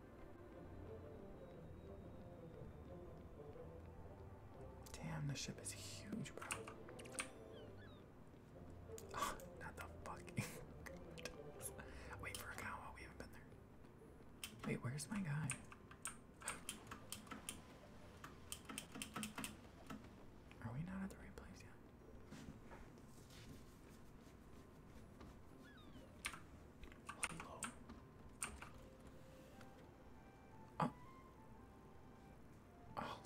Damn, the ship is huge, bro. Ah, not the fucking Wait for a cow while we haven't been there. Wait, where's my guy? Are we not at the right place yet? Hello. Uh,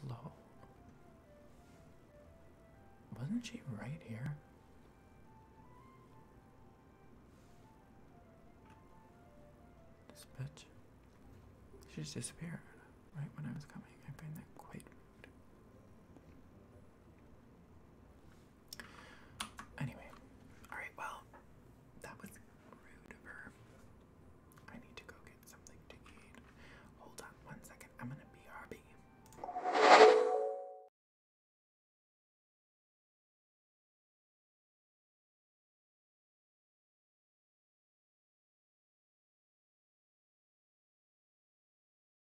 hello. Wasn't she right here? This bitch. She just disappeared right when I was coming. I find that quite rude. Anyway, alright, well, that was rude of her. I need to go get something to eat. Hold on one second, I'm gonna BRB.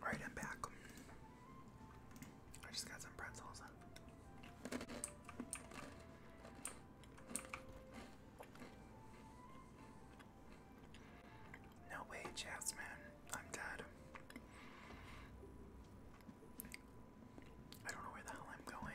Alright, I'm back. I just got some pretzels up. No way, Jasmine. I'm dead. I don't know where the hell I'm going.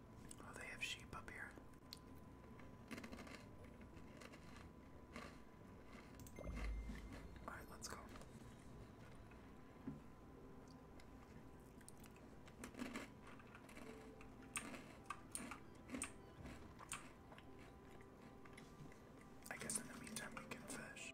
Oh, they have sheep up here. Alright, let's go. I guess in the meantime we can fish.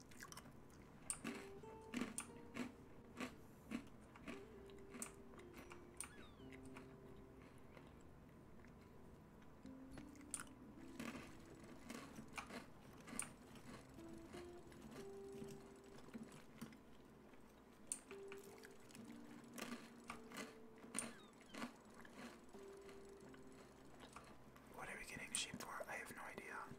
What are we getting sheep for? I have no idea.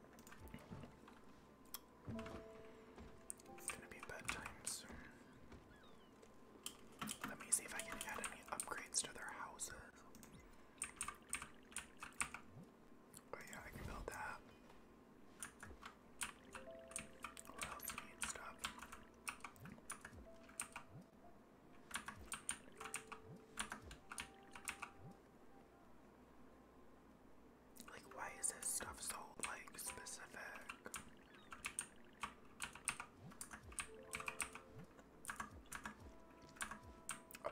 It's gonna be bedtime soon. Let me see if I can add any upgrades to their houses. Oh yeah, I can build that. What else need stuff? Like, why is this stuff so, like, specific? Oh,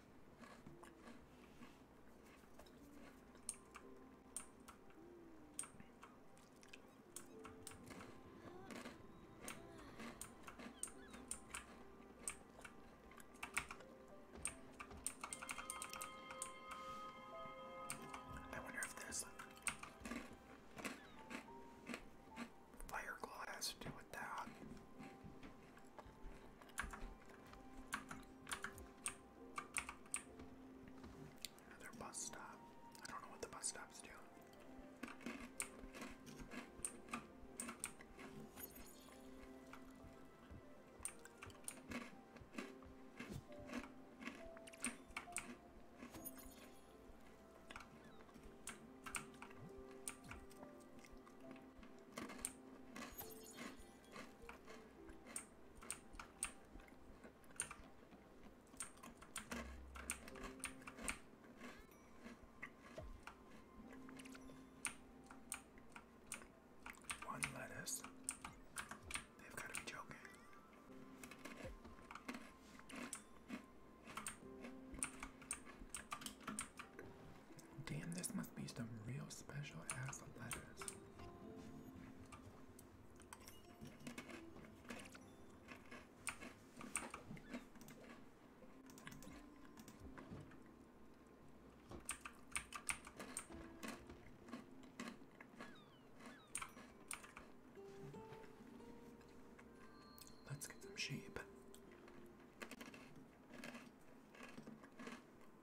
I wonder if this fire glass do with that. Another bus stop. I don't know what the bus stops do. One lettuce. They've got to be joking. Damn, this must be some real special ass letters. Let's get some sheep.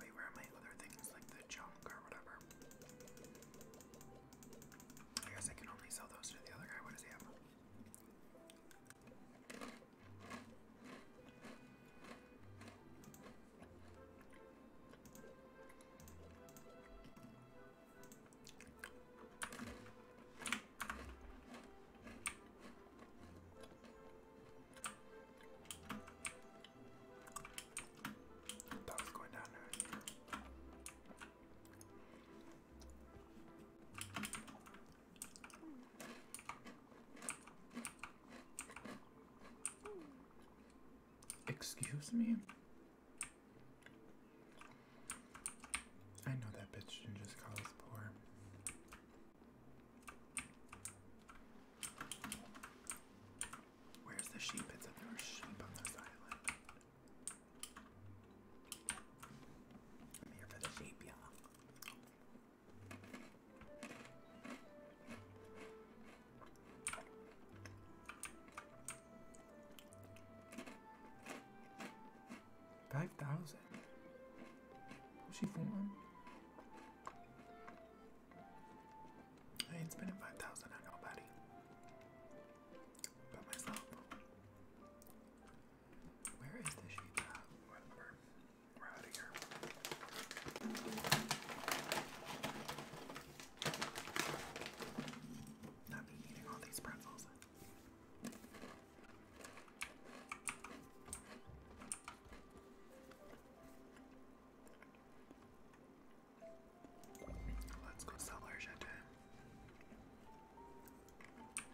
Wait, where are my other things like the junk or whatever? I guess I can only sell those to the other guy. What does he have? That was going down there. Excuse me? I know that bitch didn't just call us poor. Where's the sheep? It's a there sheep on this island. I'm here for the sheep, y'all. Five thousand. Was she for? I ain't spending five thousand on nobody. But myself. Where is this? sheet? Uh, we're, out of here. Not me eating all these pretzels. Let's go sell our shit.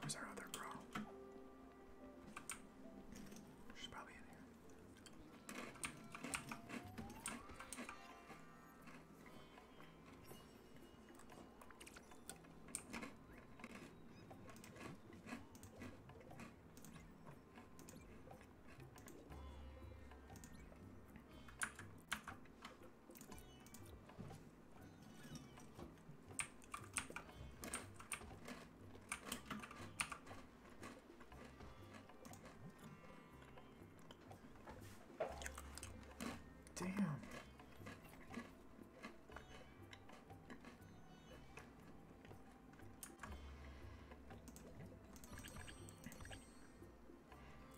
Where's our other girl? She's probably in here. Damn.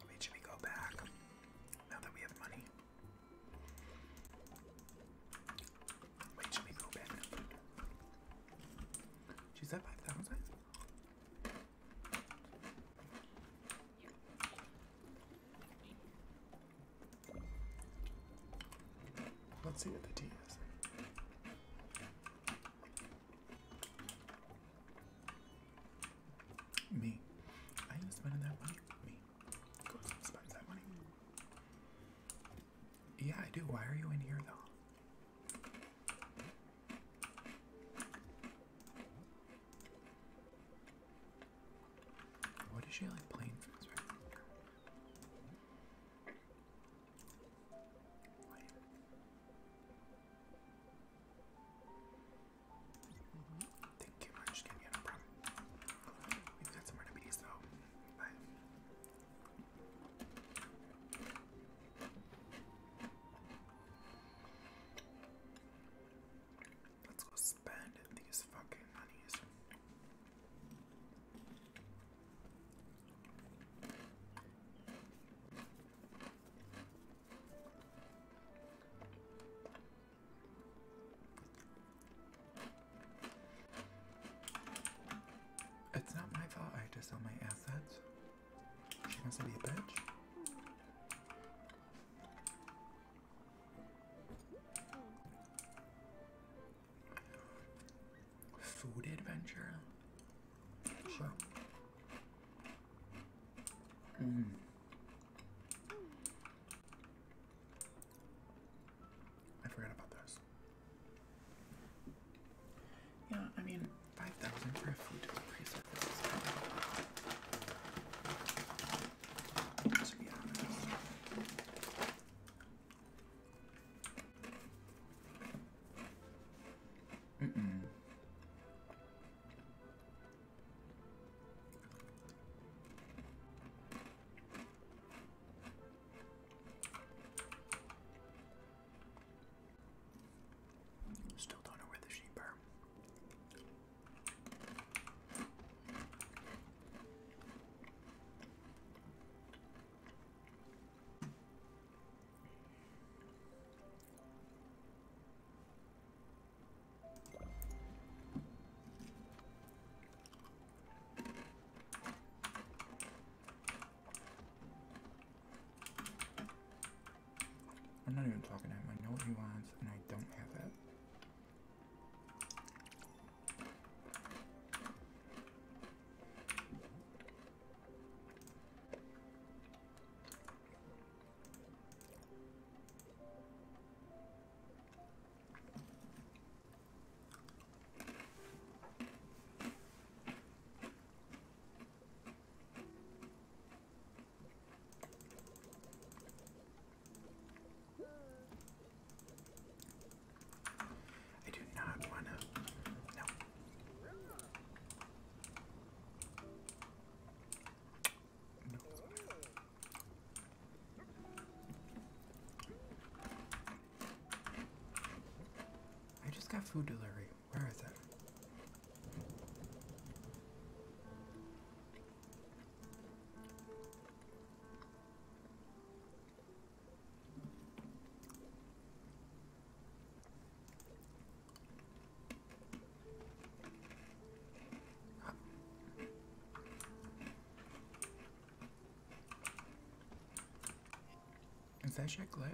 Wait, we go back now that we have money? Wait, should we go back She's at 5,000? Let's see what the tea is. Me. I ain't spending that money. Me. Yeah, I do. Why are you in here, though? What is she like playing for Mm-hmm. Thank you much, can get a problem. We've got some remedies though. Bye. Let's go spend these fucking monies. It's not my fault I just to sell my assets. She wants to be a bitch. Food adventure. Sure. Mm. I forgot about those. Yeah, I mean, 5000 for a food delivery service To be honest. Mm -mm. Still don't know where the sheep are. I'm not even talking to him. I know what he wants, and I don't have it. I do not want to. No. No. I just got food delivery. Where is it? Is that shit lit?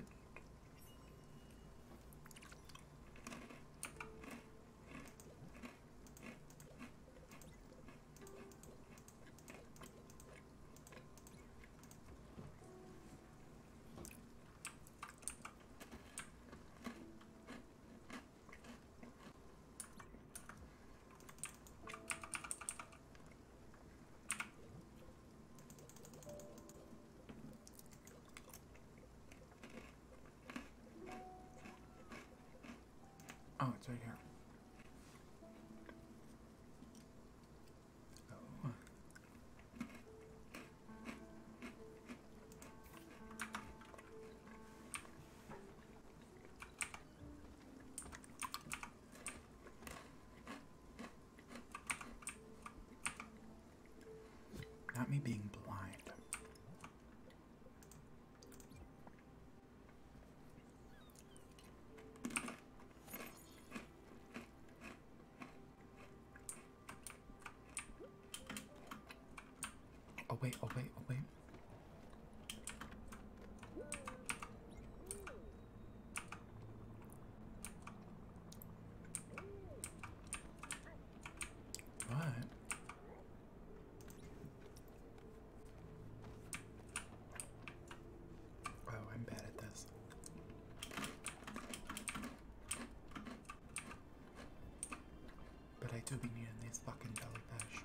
Oh, it's right here. Oh. Not me being blind. Oh wait, oh wait, oh wait. But oh, I'm bad at this. But I do need needing these fucking jellyfish.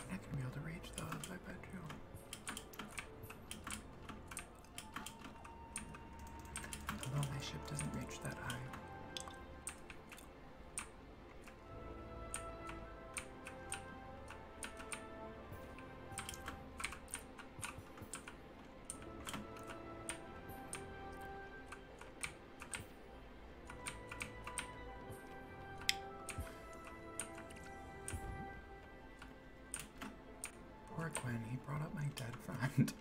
I'm not gonna be able to reach those, I bet you. Although my ship doesn't reach that high. Poor Quinn. he brought up my dead friend.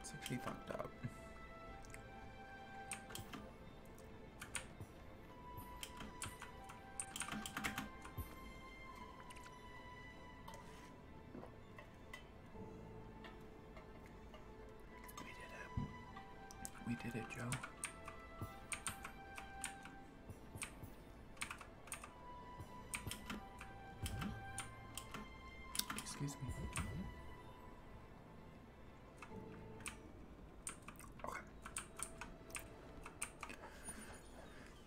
it's actually fucked up. We did it. We did it, Joe. Excuse me. Okay.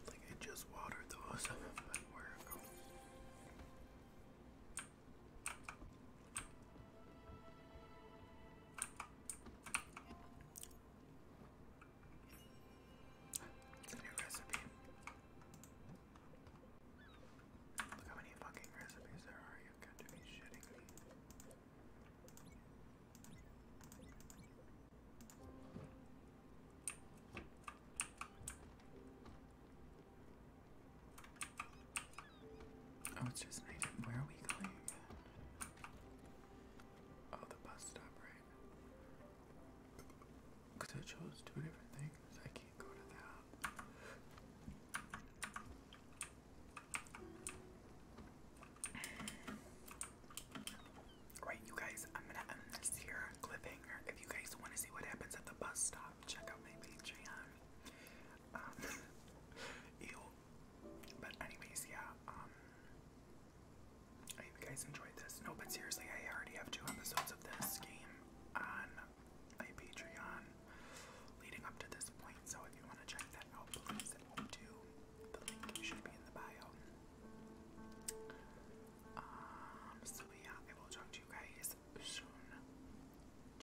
I just watered those, it's a new recipe. Look how many fucking recipes there are. You've got to be shitting me. Oh, it's just made it. Where are we going Oh, the bus stop, right? Because I chose two different things. I can't go to that. Right, you guys, I'm gonna end this here cliffhanger. If you guys want to see what happens at the bus stop, check out my Patreon. Um, ew. But anyways, yeah, um, I hope you guys enjoyed this. No, but seriously, I already have two episodes of this game on my Patreon leading up to this point, so if you want to check that out, please do. The link should be in the bio. Um, so yeah, I will talk to you guys soon.